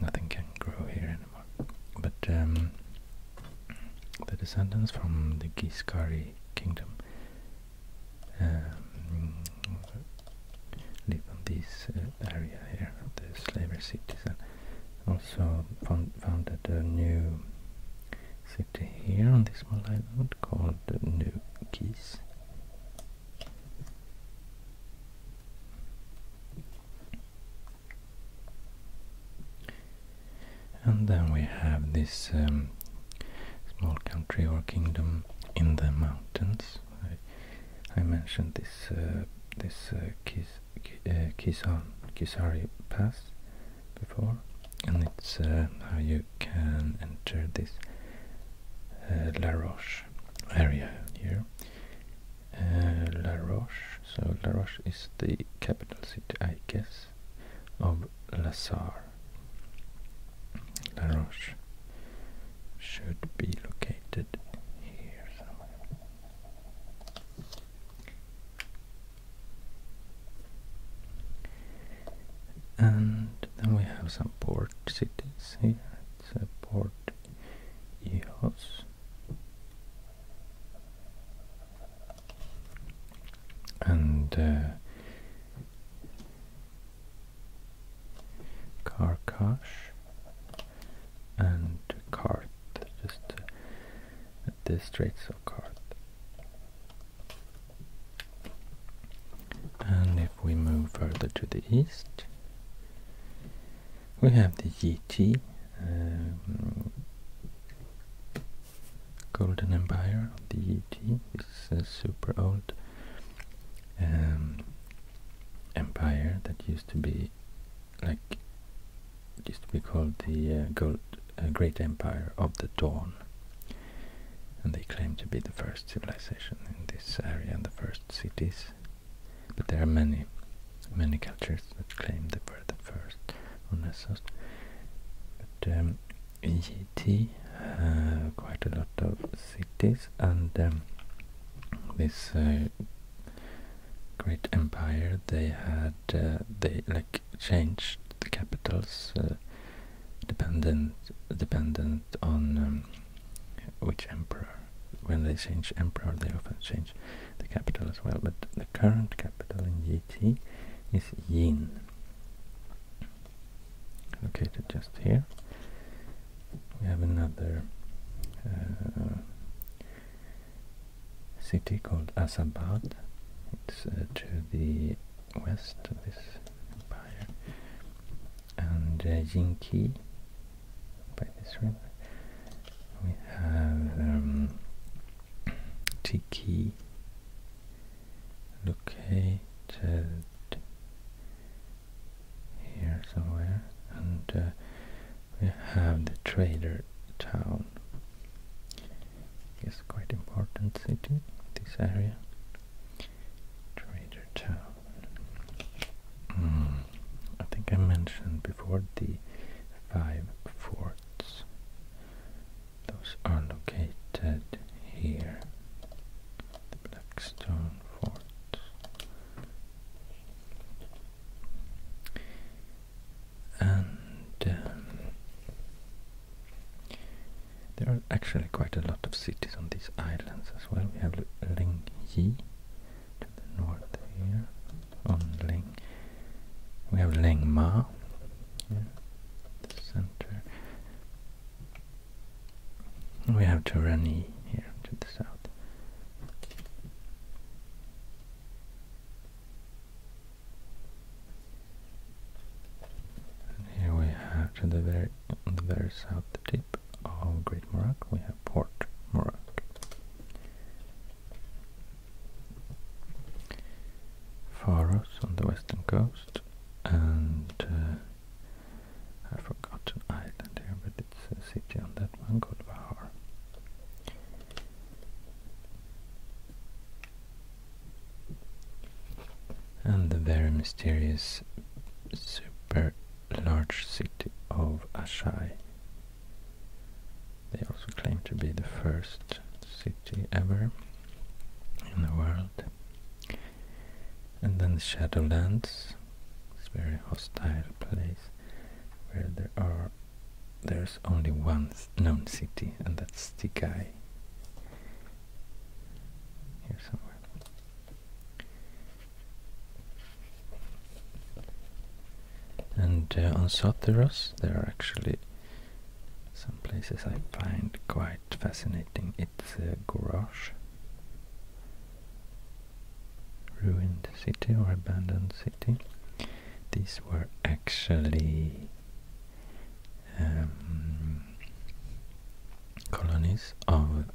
Nothing can grow here anymore. But um, the descendants from the Guiscari kingdom um, live on this uh, area here, the slaver cities also founded a new city here on this small island called New Keys. And then we have this um, small country or kingdom in the mountains. I, mentioned this uh, this uh, uh, Pass before and it's uh, how you can enter this uh, La Roche area here. Uh, La Roche, so La Roche is the capital city, I guess, of Lazar. La Roche should be located here somewhere. And then we have some port cities here. It's a port Eos. And uh, Karkash and Cart, just uh, the Straits Cart. And if we move further to the east, we have the Yiti, um, Golden Empire of the Yiti, is a super old um, empire that used to be like it used to be called the uh, uh, Great Empire of the Dawn, and they claim to be the first civilization in this area and the first cities. But there are many, many cultures that claim they were the first on Nessos. But um, EGT uh, quite a lot of cities, and um, this great empire, they had uh, they like changed the capitals uh, dependent dependent on um, which emperor. When they change emperor, they often change the capital as well. But the current capital in GT is Yin, located just here. We have another. Uh, city called Asabad. It's uh, to the west of this empire. And uh, Jinki by this river. We have um, Tiki located here somewhere and uh, we have the trader town. It's quite important city, this area. Trader town. Hmm. I think I mentioned before the five forts. Those are located here. The Blackstone Fort and um, there are actually quite a lot of cities on these islands as well. We have Ling Yi to the north here on Ling. We have Ling Ma here the center. We have Turani here to the south. And here we have to the very on the very south tip of Great Morocco we have Port Morocco. Faros on the western coast and I uh, forgot an island here but it's a city on that one called Bahar and the very mysterious super large city of Ashai. They also claim to be the first city ever in the world. And then the Shadowlands, this very hostile place where there are there's only one known city, and that's Tikai. Here somewhere. And uh, on Soteros, there are actually some places I find quite fascinating. It's a garage, ruined city or abandoned city these were actually um, colonies of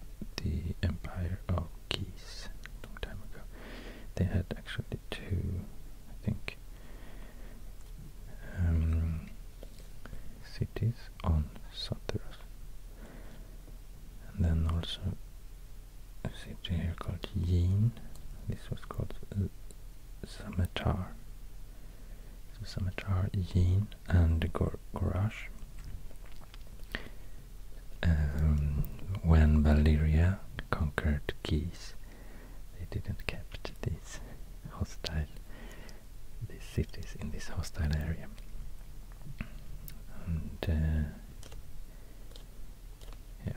the Empire of Geese a long time ago. They had actually two, I think, um, cities on Satyrus and then also city here called Yin. This was called uh, Samatar. So Samatar, Yin, and Gor Gorash. Um, when Valyria conquered Geese, they didn't kept these hostile these cities in this hostile area. Uh, yeah.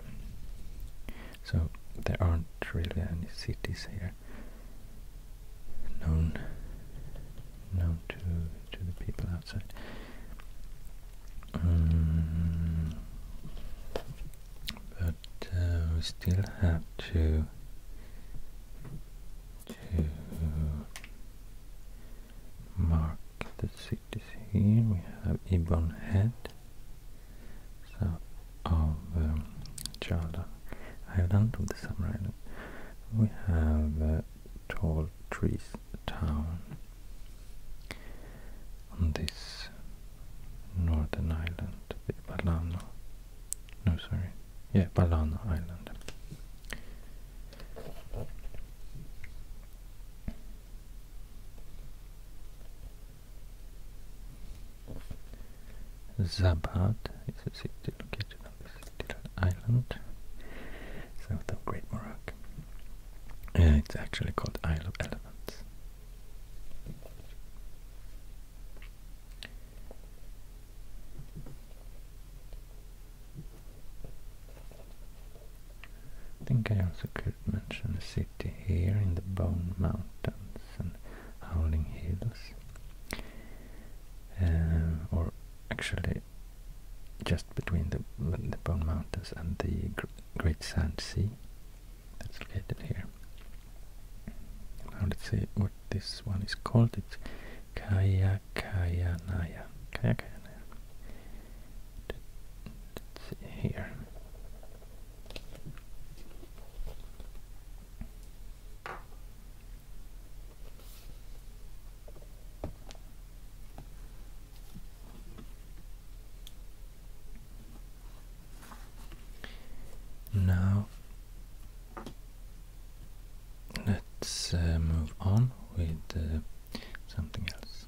So there aren't really any cities here known known to to the people outside. Mm. but uh, we still have to to mark the cities here. We have Ibon Head, south of um, Island, of the Summer Island. We have uh, Tall Trees Town on this northern island, Balano. No, sorry. Yeah, Balano Island. Zabad is a city located on this little island south of Great Morocco. Uh, it's actually called Isle of Elephants. think I also could could mention a city here in the Bone Mountains and Howling Hills. Uh, or actually just between the, the Bone Mountains and the Great Sand Sea that's located here. Now let's see what this one is called. It's Kaya Kaya Naya. Kaya Kaya Let's see here. Now let's uh, move on with uh, something else.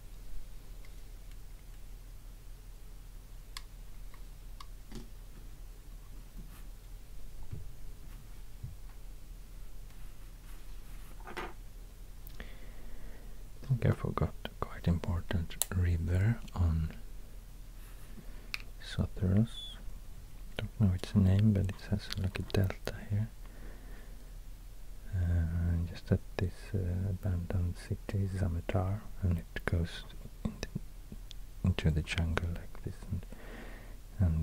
I think I forgot a quite important river on Sotheros. Don't know its name, but it has like a delta here. Uh, just at this uh, abandoned city, Zamatar it goes into, the jungle like this, and,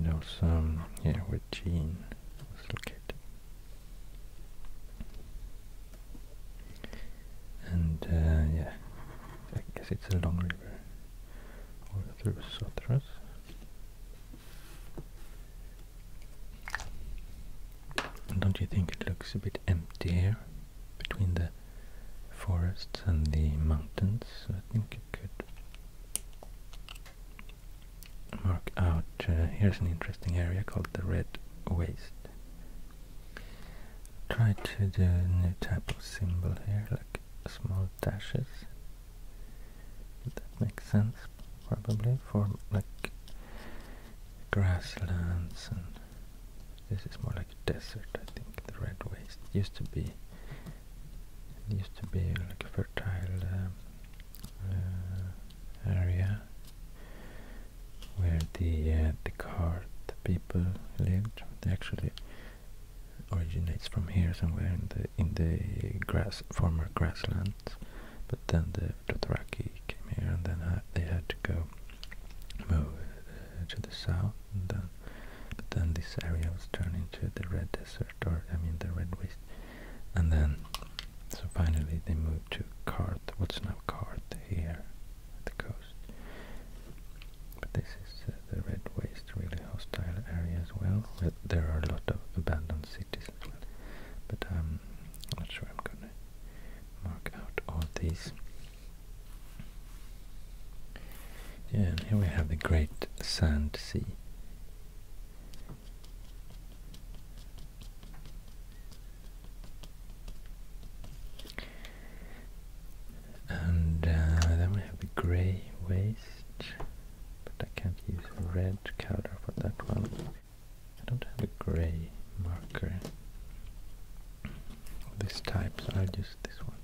and also um, yeah, where Jean was located. And uh, yeah, I guess it's a long river all through Sotras. Don't you think it looks a bit empty here? between the forests and the mountains. I think you could mark out, uh, here's an interesting area called the Red Waste. Try to do a new type of symbol here, like small dashes. That makes sense, probably, for like grasslands and this is more like a desert, I think. The red waste it used to be used to be like a fertile um, uh, area where the uh, the cart people lived. They actually originates from here somewhere in the in the grass former grasslands. But then the Dothraki came here, and then they had to go move uh, to the south, and then, this area was turned into the Red Desert, or I mean the Red Waste, and then, so finally they moved to Carth. what's now Carth here at the coast. But this is uh, the Red Waste, really hostile area as well, there are a lot of abandoned cities but um, I'm not sure I'm gonna mark out all these. Yeah, and here we have the Great Sand Sea. And uh, then we have the grey waste, but I can't use red color for that one. I don't have a grey marker this type, I'll use this one.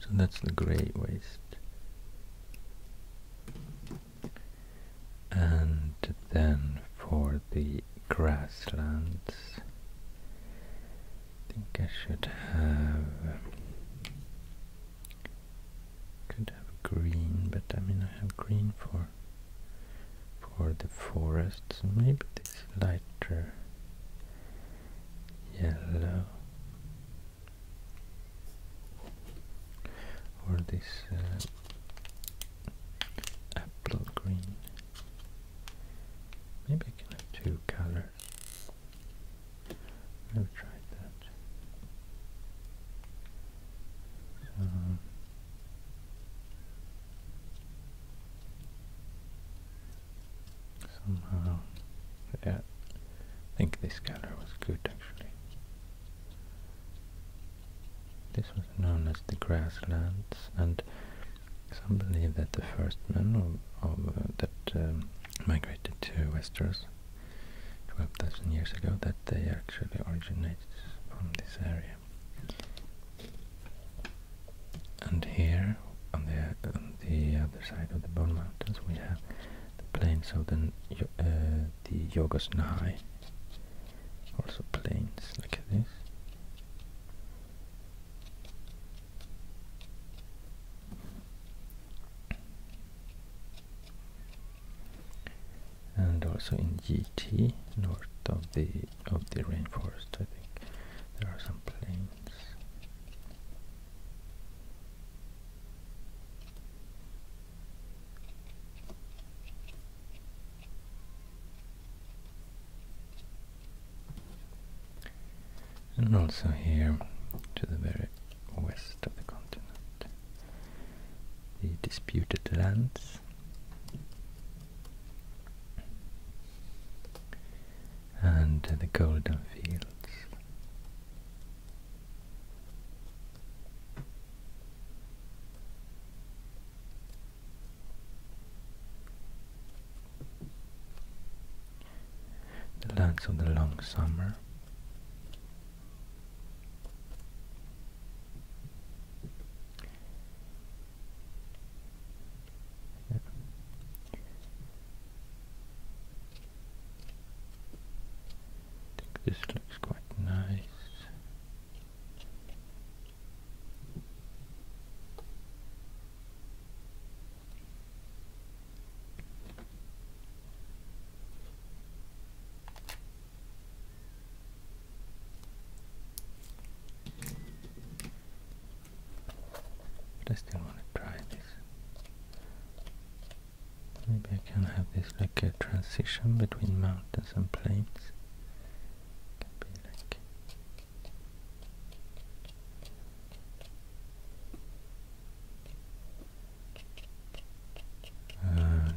So that's the grey waste and then for the grasslands I think I should have could have green but I mean I have green for for the forests maybe this lighter yellow or this uh, apple green maybe I can have two colors i tried that um, somehow yeah I think this color was good actually this was known as the grasslands, and some believe that the first men uh, that um, migrated to Westeros 12,000 years ago, that they actually originated from this area. And here, on the on the other side of the Bone Mountains, we have the plains of the uh, also planes look at this and also in GT north of the of the rainforest I think there are some planes and also here to the very west of the continent the disputed lands and the golden fields the lands of the long summer. I think this looks quite nice. I still want to try this. Maybe you can have this like a transition between mountains and plains. can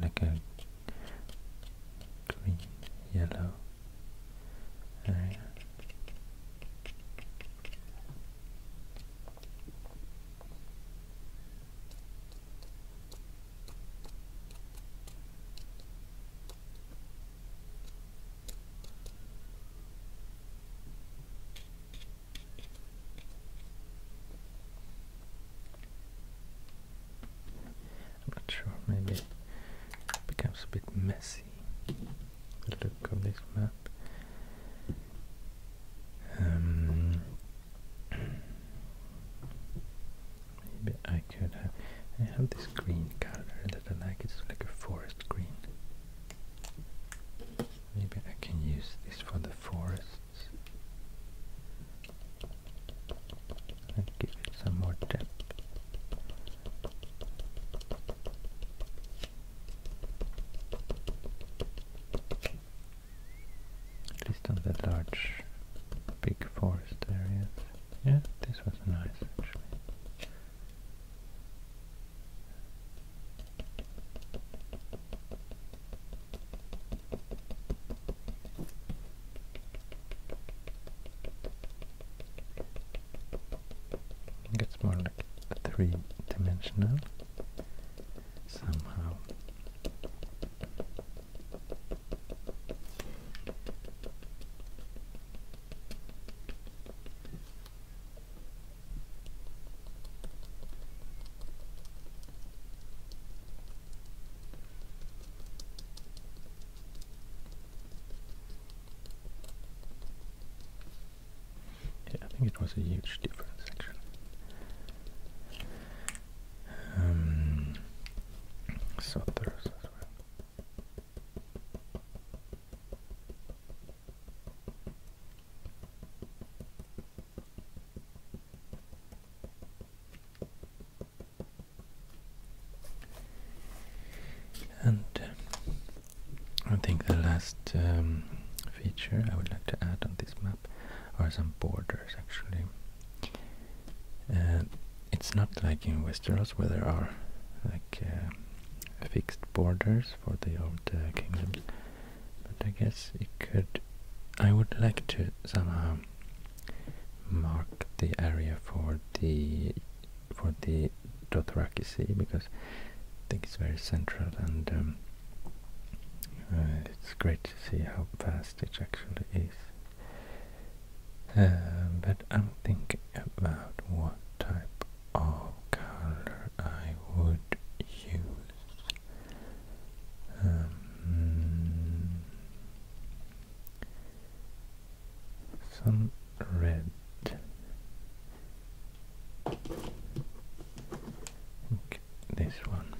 be like uh, green, yellow I'm not sure, maybe it becomes a bit messy, the look of this map. Um, Maybe I could have... I have this green color that I like, it's like a forest green. Maybe I can use this for the forests. And give it some more depth at least on that large big forest areas. Yeah, this was nice actually. It's more like three-dimensional somehow. Yeah, I think it was a huge difference actually um, as well. And I think the last um, feature I would like to add on this map are some borders actually. Uh, it's not like in Westeros where there are like uh, fixed borders for the old uh, kingdoms, but I guess it could. I would like to somehow mark the area for the for the Dothraki Sea because I think it's very central and um, uh, it's great to see how vast it actually is um, but I'm thinking about what type of color I would use. Um, some red. this one.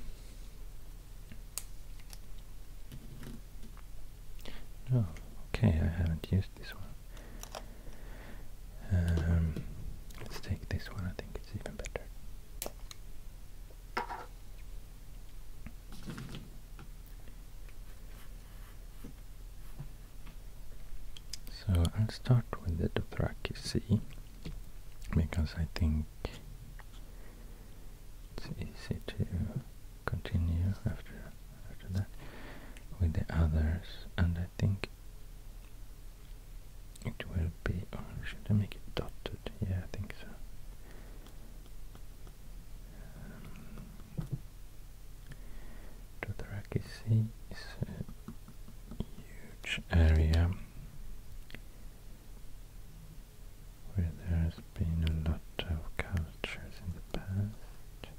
No, oh, okay, I haven't used this one. Um, let's take this one, I think it's even better. So I'll start with the Dothraki because I think it's easy to continue after after that with the others and I think it will be or should I make it dotted? Yeah I think so. Um, Dothraki Sea huge area where there has been a lot of cultures in the past.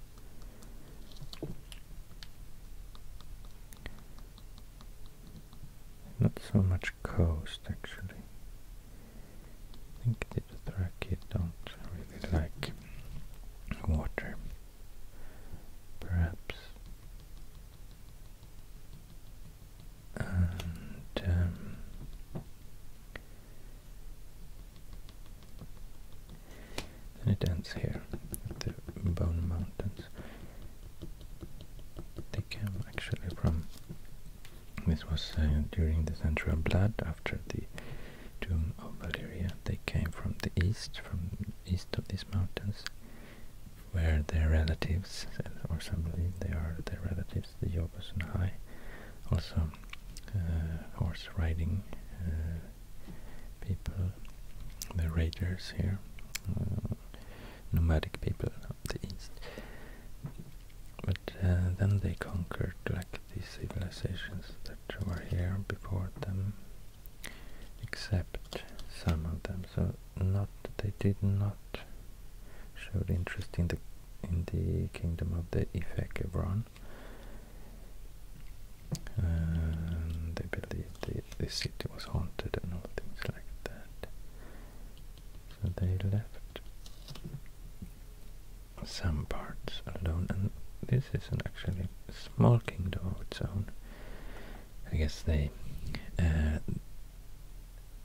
Not so much coast actually. I think the Dothraki don't really like water. Perhaps and um, it ends here the Bone Mountains. They came actually from this was uh, during the Central Blood after the Doom of Valeria. They came from the east, from east of these mountains, where their relatives, or some believe they are their relatives, the the and High. Also, uh, horse riding uh, people, the raiders here, uh, nomadic people of the east. But then they conquered like these civilizations that were here before them, except some of them. So not they did not showed interest in the in the kingdom of the Ifekebron. And they believed the, the city was haunted and all things like that. So they left some parts alone. And this is an actually small kingdom of its own. I guess they uh,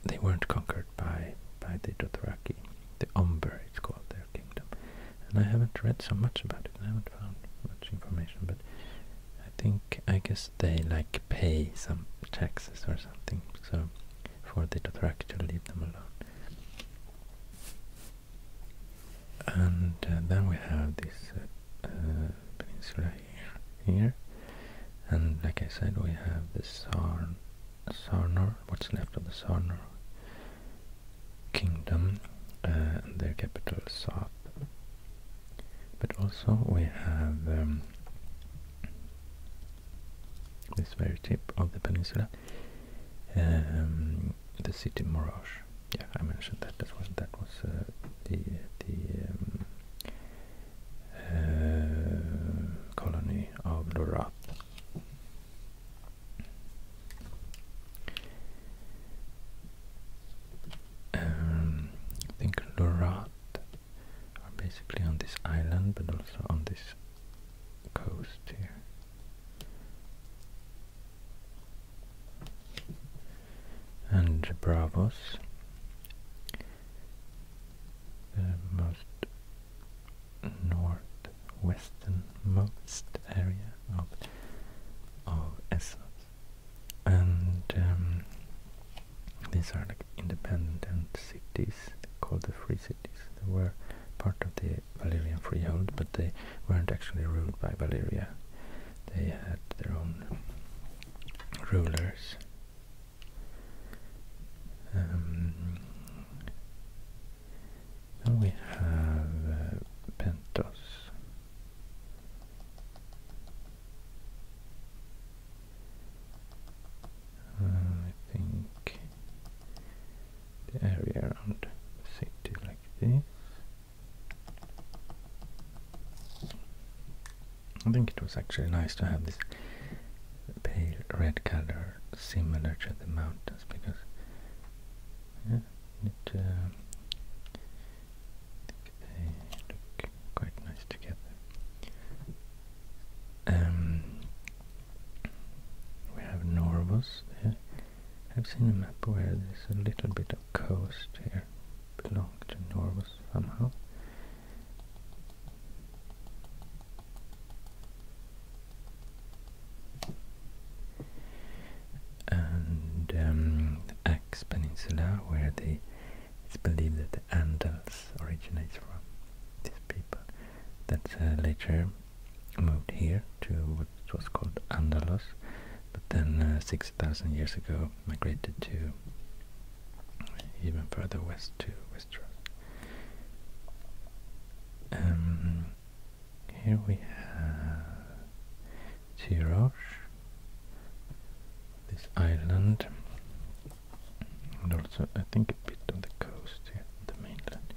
they weren't conquered by by the Dothraki, the Umber it's called their kingdom. And I haven't read so much about it. I haven't found much information, but I think I guess they like pay some taxes or something, so for the Dothraki to leave them alone. And uh, then we have this uh, uh, peninsula here, here, and like I said, we have the Sarn Sarnor, what's left of the Sarnor kingdom, uh, and their capital Sap. But also we have um, this very tip of the peninsula, um, the city Morash. Yeah, I mentioned that as well. That was uh, the the um, uh, colony of Lorath. Um, I think Lorat are basically on this island, but also on this coast here. And Bravos, the most northwesternmost area of of Essos. And um, these are like independent cities called the Free Cities. They were part of the Valerian freehold, but they weren't actually ruled by Valeria. They had their own rulers. Um, now we have uh, Pentos. I think the area around the city like this. I think it was actually nice to have this pale red color are similar to the mountains because it uh, quite nice together. Um, we have Norvos I've seen a map where there's a little bit of coast here, belong to Norvos somehow and the um, Ax Peninsula, where it's believed that the Andals originates from. These people that uh, later moved here to what was called Andalus, but then uh, six thousand years ago migrated to even further west to Westeros. Um, here we have Tirosh, this island, and also I think a bit of the coast here, the mainland,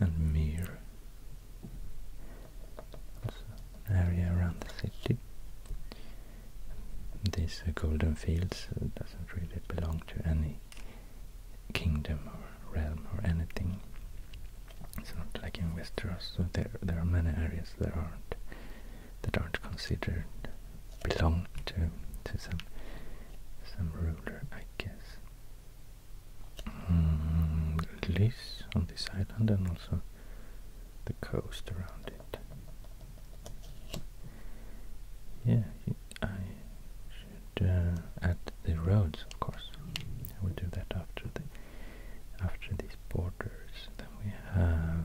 and Mir, also an area around the city. These golden fields uh, doesn't really belong to any kingdom or realm or anything. It's not like in Westeros. So there, there are many areas that aren't that aren't considered belong to to some some ruler, I guess. Mm, Lys on this island and also the coast around it. Yeah, I uh, at the roads, of course. we will do that after the after these borders. Then we have.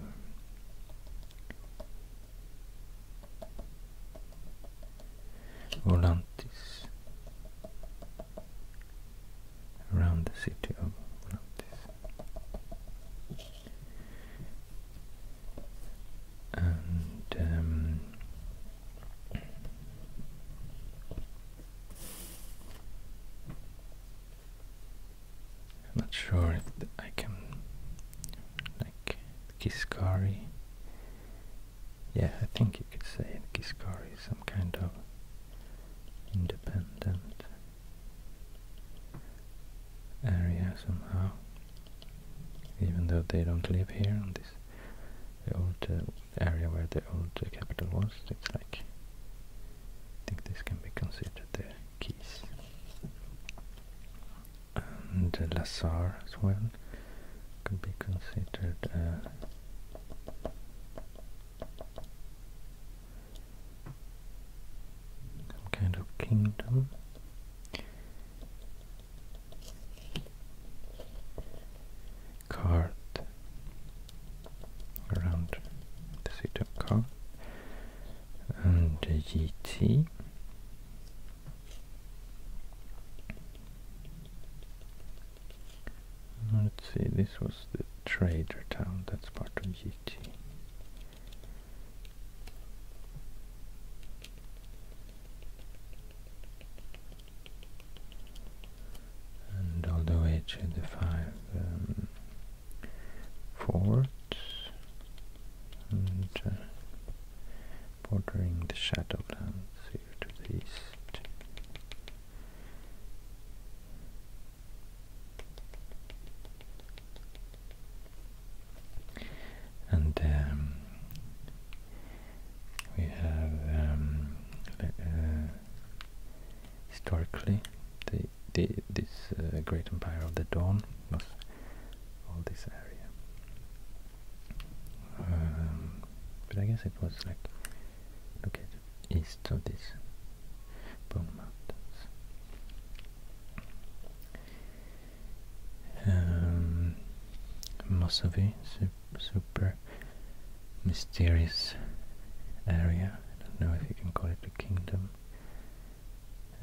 Volantis around the city of Volantis and um, I'm not sure if I can like Kiskari. Yeah, I think you could say Kiskari is some kind of independent area somehow even though they don't live here on this old uh, area where the old uh, capital was. It's like I think this can be considered the keys. And uh, as well could be considered a uh, kind of kingdom cart around the city of Car and GT let's see this was the trader town that's part of GT and all the way to the five um, forts and uh, bordering the Shadowlands here to the east. And um, we have um, uh, historically the, the, this uh, great empire of the dawn was all this area um, but I guess it was like located east of these Bone Mountains um, super mysterious area. I don't know if you can call it a kingdom.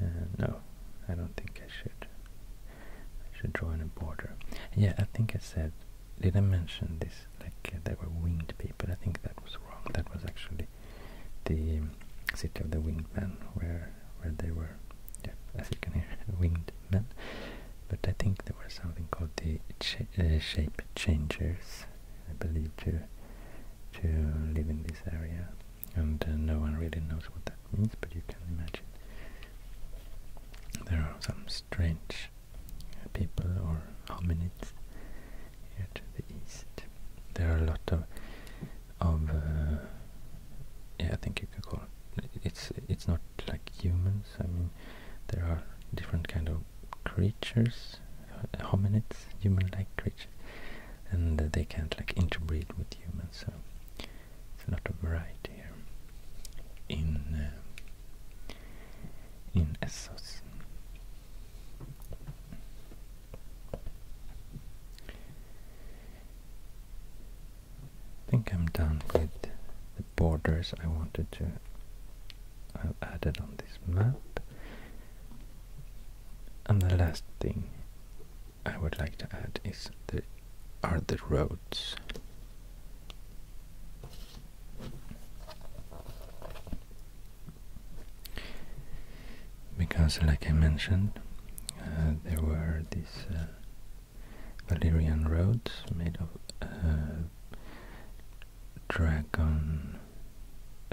Uh, no, I don't think I should. I should draw in a border. Yeah, I think I said, did I mention this? Like uh, there were winged people. I think that was wrong. That was actually the um, city of the winged men, where where they were, yeah, as you can hear, *laughs* winged men but I think there was something called the uh, shape changers, I believe, to to live in this area, and uh, no one really knows what that means, but you can imagine there are some strange people or hominids here to the east. There are a lot of of uh, yeah, I think you could call it's it's not like humans. I mean, there are different kind of creatures, uh, hominids, human-like creatures, and they can't like interbreed with humans. So it's not a variety here in uh, in Essos. I think I'm done with the borders I wanted to uh, add have on this map. And the last thing I would like to add is the are the roads. Because, like I mentioned, uh, there were these uh, Valyrian roads made of uh, dragon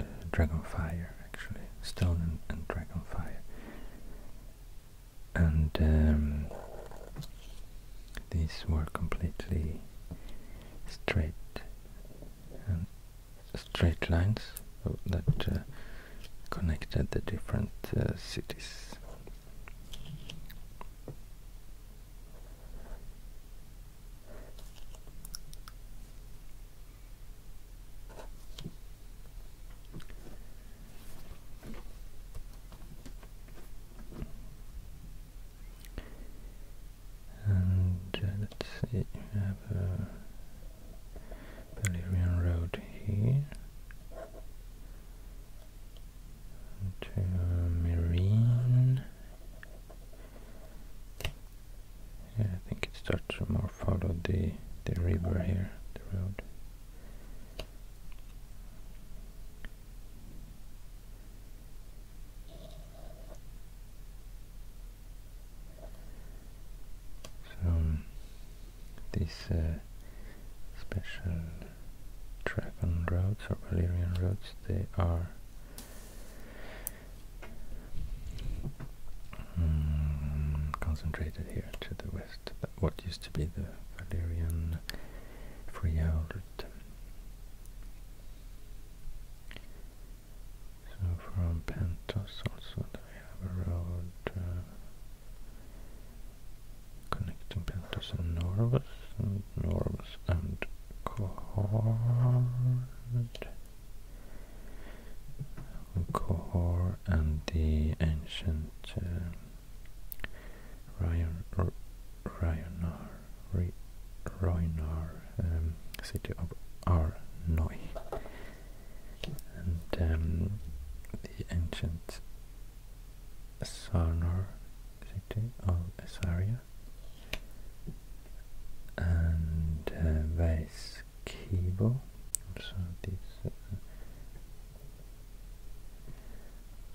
uh, dragon fire actually stone and, dragon fire and um, these were completely straight um, straight lines that uh, connected the different cities and uh, let's see, we have a uh, Balerion Road here to marine. Yeah, I think it starts to more follow the the river here, the road. So this uh, special Trakan roads or Valyrian roads they are mm, concentrated here to the west. what used to be the Valyrian Freyault. So from Pentos also we have a road uh, connecting Peltos and Norvus, and Norvus and Kohord. Kohor and the ancient uh, Ryanar, um, city of Arnoi. And then um, the ancient Sarnar city of Assyria and uh, where is this uh,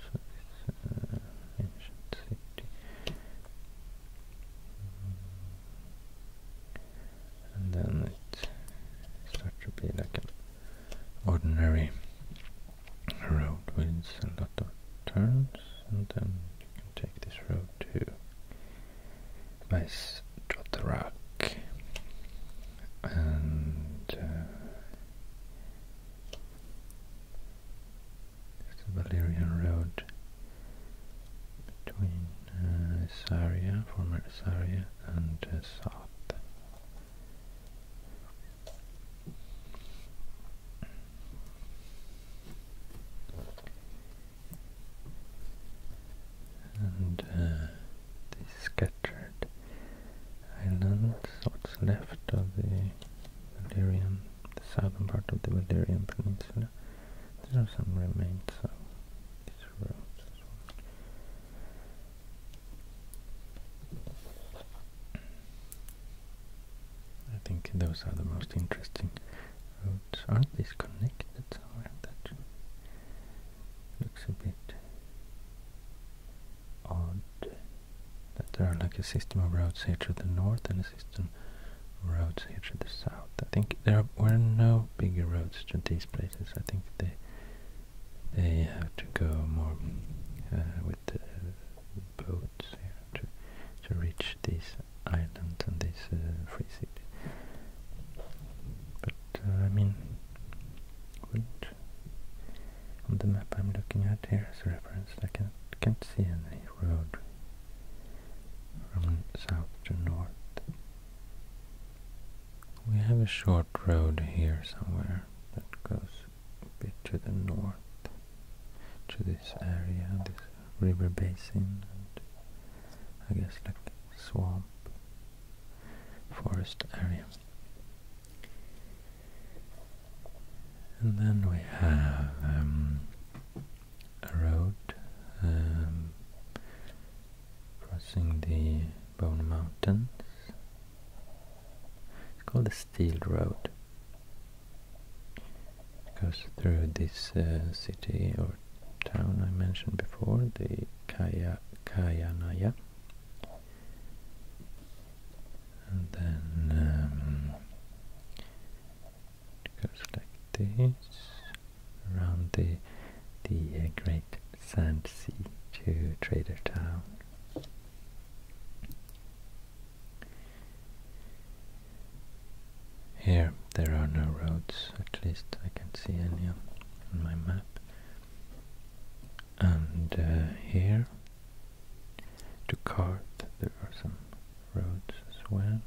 so this uh, ancient city and then it starts to be like an ordinary road winds a lot of turns and then you can take this road to Maestrotarak and uh, it's the Valerian road between uh, former Saria and South. And uh, the scattered islands, what's left of the Valerian, the southern part of the Valerian Peninsula. There are some remains of these roads I think those are the most interesting routes. Aren't these connected somewhere? That looks a bit odd. That there are like a system of roads here to the north and a system of roads here to the south. I think there were no bigger roads to these places. I think they they have to go more uh, with the boats here to, to reach this island and this uh, free city. But uh, I mean, would on the map I'm looking at here as a reference, I can't, can't see any road from south to north. We have a short road here somewhere that goes bit to the north to this area, this river basin and I guess like swamp forest area. And then we have um, a road um, crossing the Bone Mountains. It's called the Steel Road goes through this uh, city or town I mentioned before, the Kaya Naya, And then um, it goes like this around the the uh, Great Sand Sea to Trader Town. Here there are no roads, at least I can't see any on my map. And uh, here to Cart, there are some roads as well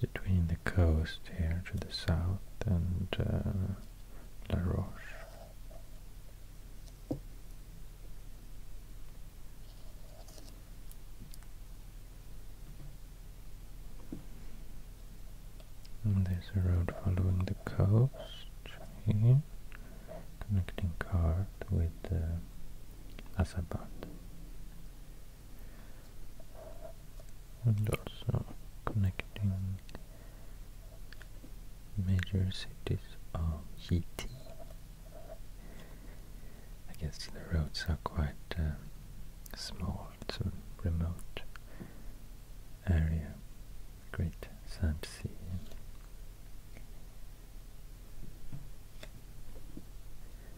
between the coast here to the south and uh, La Roche there's a road following the coast here, connecting Kart with uh, Asabad. And also connecting major cities of GT I guess the roads are quite uh, small, it's a remote area, great sand sea.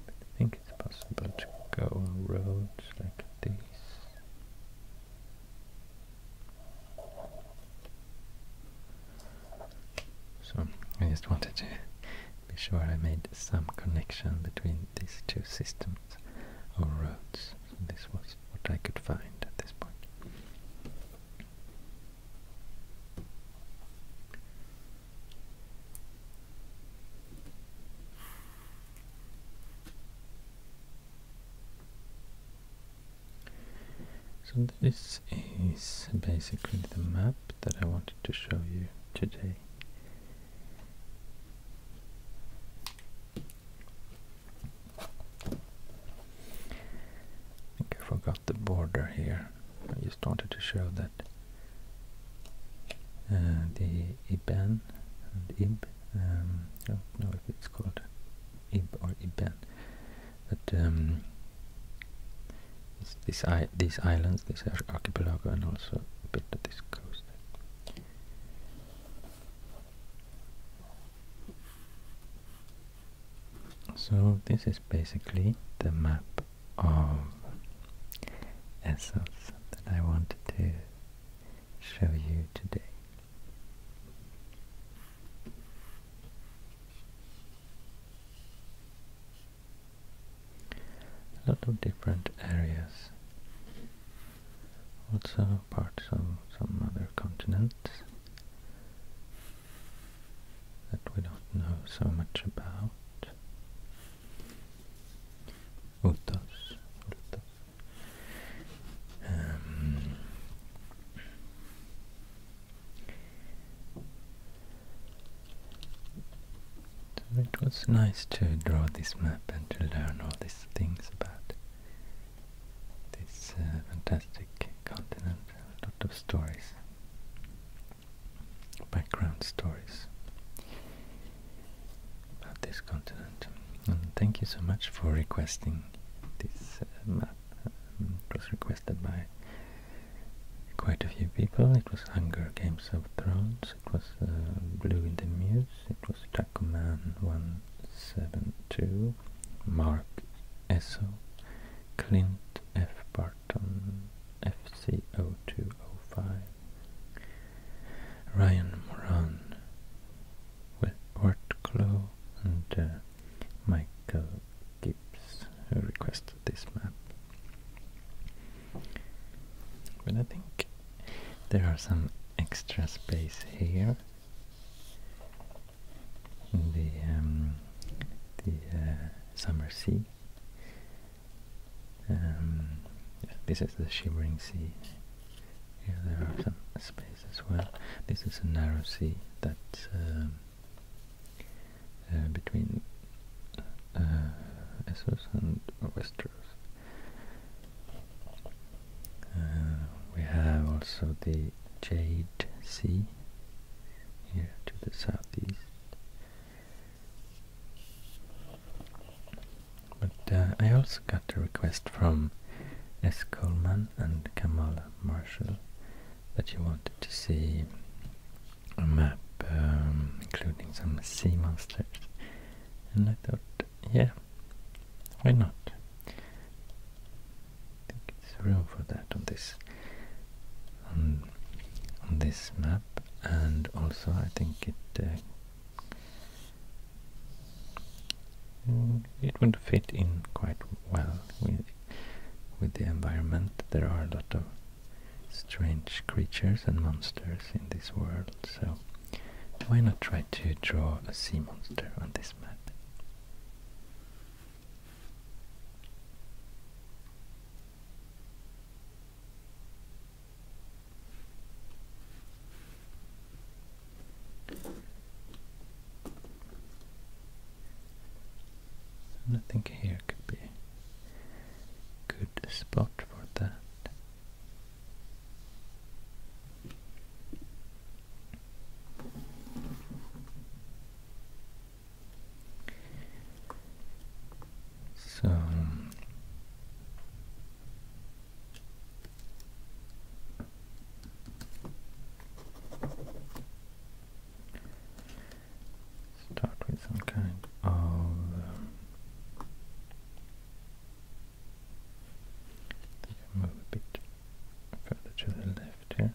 I think it's possible to go on roads like this. So I just wanted to be sure I made some connection between these two systems or roads. this was what I could find at this point. So this is basically the map that I wanted to show you today. I think I forgot the border here. I just wanted to show that uh, the IBAN and IB, um, I don't know if it's called IB or IBAN, but um, these islands, this archipelago, and also a bit of this coast. So this is basically the map of Essos that I wanted to show you today a lot of different areas also parts of some other continents that we don't know so much about Utos, Utos. Um, so it was nice to draw this map and to learn all these things about this uh, fantastic continent, a lot of stories, background stories about this continent. And thank you so much for requesting this uh, map. Um, it was requested by quite a few people. It was Hunger Games of Thrones it was uh, Blue in the Muse, it was Tacoman 172, Mark Esso, Clint F. Barton, F C O 205 Ryan Moran, with Art Klo, and uh, Michael Gibbs, request this map. But I think there are some extra space here. In the um, the uh, summer sea. Um, this is the shimmering sea. Here there are some space as well. This is a narrow sea that um, uh, between Essos uh, and Westeros. Uh, we have also the Jade Sea here to the southeast. But uh, I also got a request from S. Coleman and Kamala Marshall that you wanted to see a map um, including some sea monsters and I thought, yeah, why not? I think it's room for that on this on, this map and also I think it uh, it would fit in quite well with with the environment. There are a lot of strange creatures and monsters in this world, so why not try to draw a sea monster on this map? I think here could be a good spot for that. So start with some kind of move a bit further to the left here.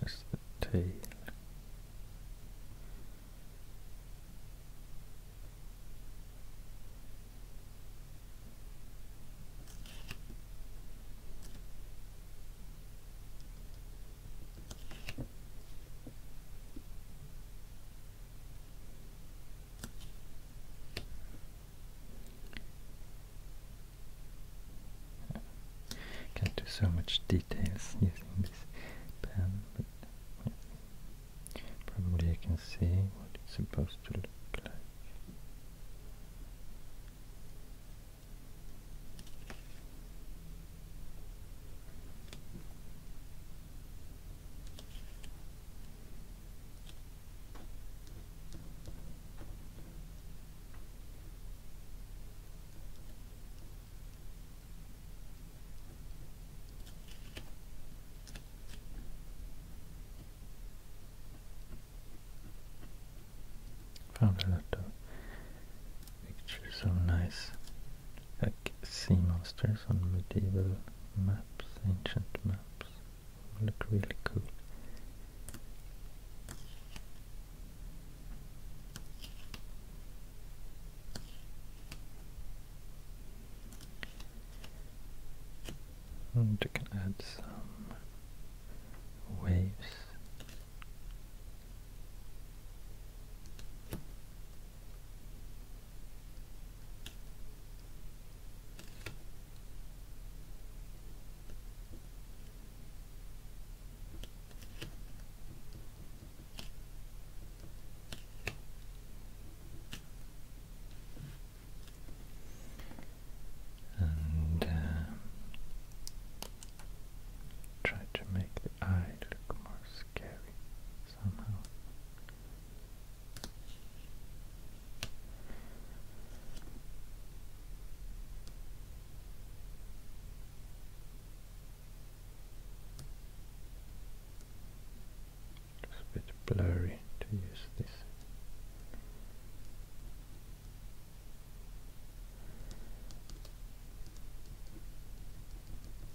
That's the tail. Can't do so much details using this pen, but probably I can see what it's supposed to look like. Found a lot of uh, pictures nice like sea monsters on medieval maps, ancient maps. Look really cool. And you can add some waves and uh, try to make the eye look more scary somehow. It's a bit blurry to use this.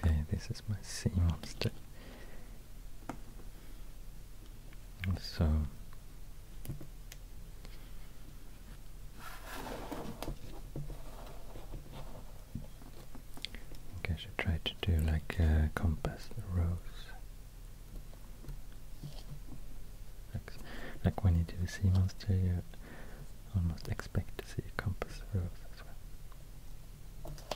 Okay, this is my sea monster. So I think I should try to do like a compass rose. Like, when you do a sea monster, you almost expect to see a compass rose as well.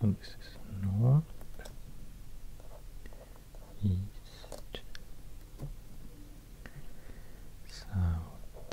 So this north, east, south,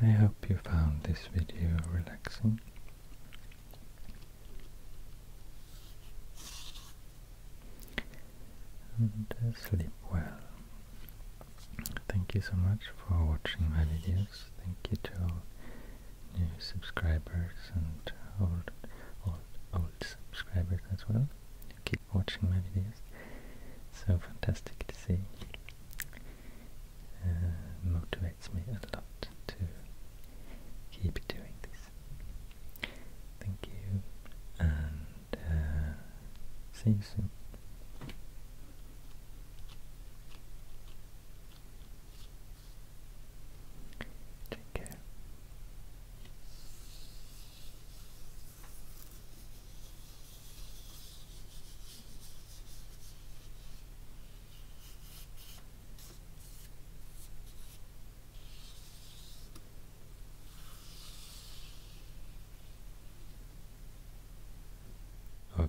I hope you found this video relaxing. And uh, sleep well. Thank you so much for watching my videos. Thank you to new subscribers and old, old subscribers as well keep watching my videos. So fantastic to see. Uh, motivates me a lot to keep doing this. Thank you, and uh, see you soon. Take care.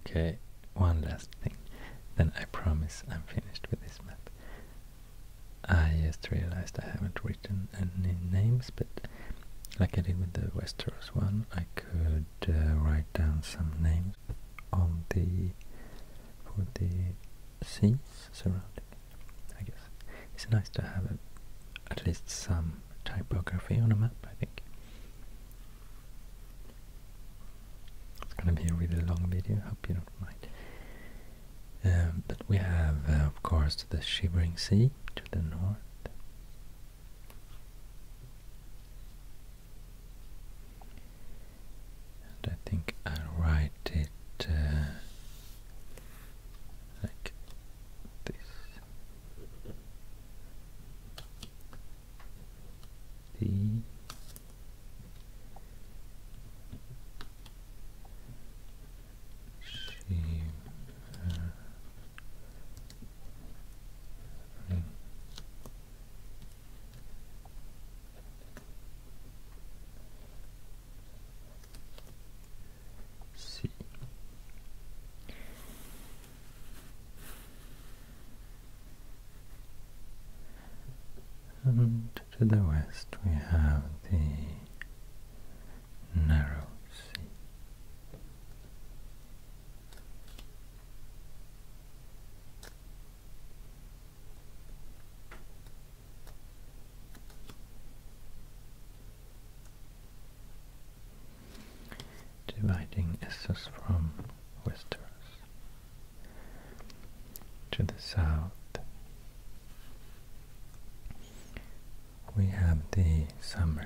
Okay, one last thing, then I promise I'm finished with this map. I ah, just realized I haven't written any names, but like I did with the Westeros one, I could uh, write down some names on the for the seas surrounding. I guess it's nice to have at least some typography on a map. I think it's gonna be a really long video. Hope you don't mind. Um, but we have, uh, of course, the Shivering Sea to the north. And I think I'll write it uh, like this. See. And to the west we have the narrow sea. Dividing Essos from Westeros. To the south, we have the summers.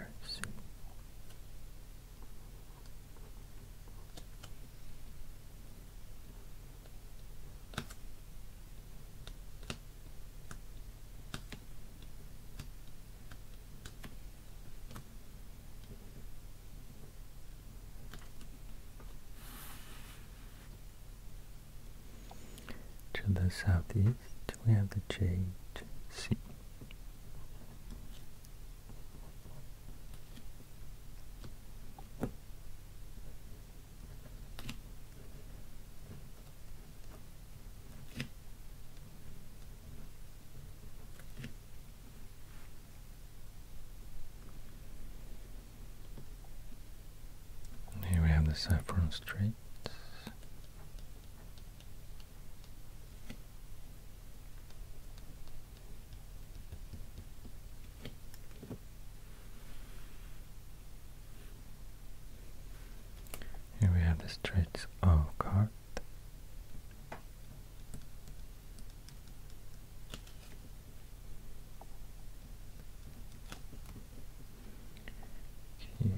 To the southeast, we have the Jade Sea. Here we have the Saffron Straits here we have the streets of Cart. Q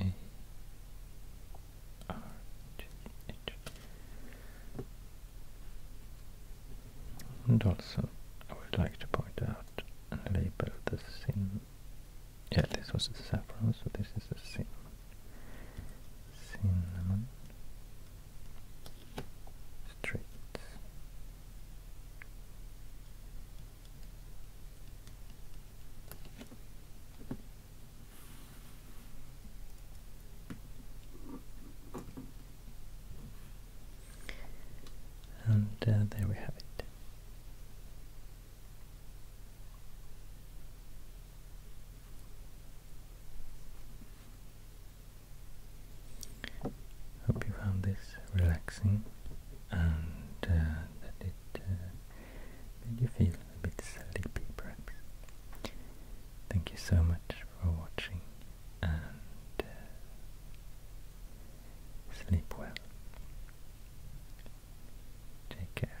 A R G H. And also, I would like to point out and label the sin. Yeah, this was the saffron, so this is the sin. Cinnamon. Streets. And uh, there we have it. Hope you found this relaxing and uh, that it uh, did you feel a bit sleepy perhaps? Thank you so much for watching and uh, sleep well. Take care.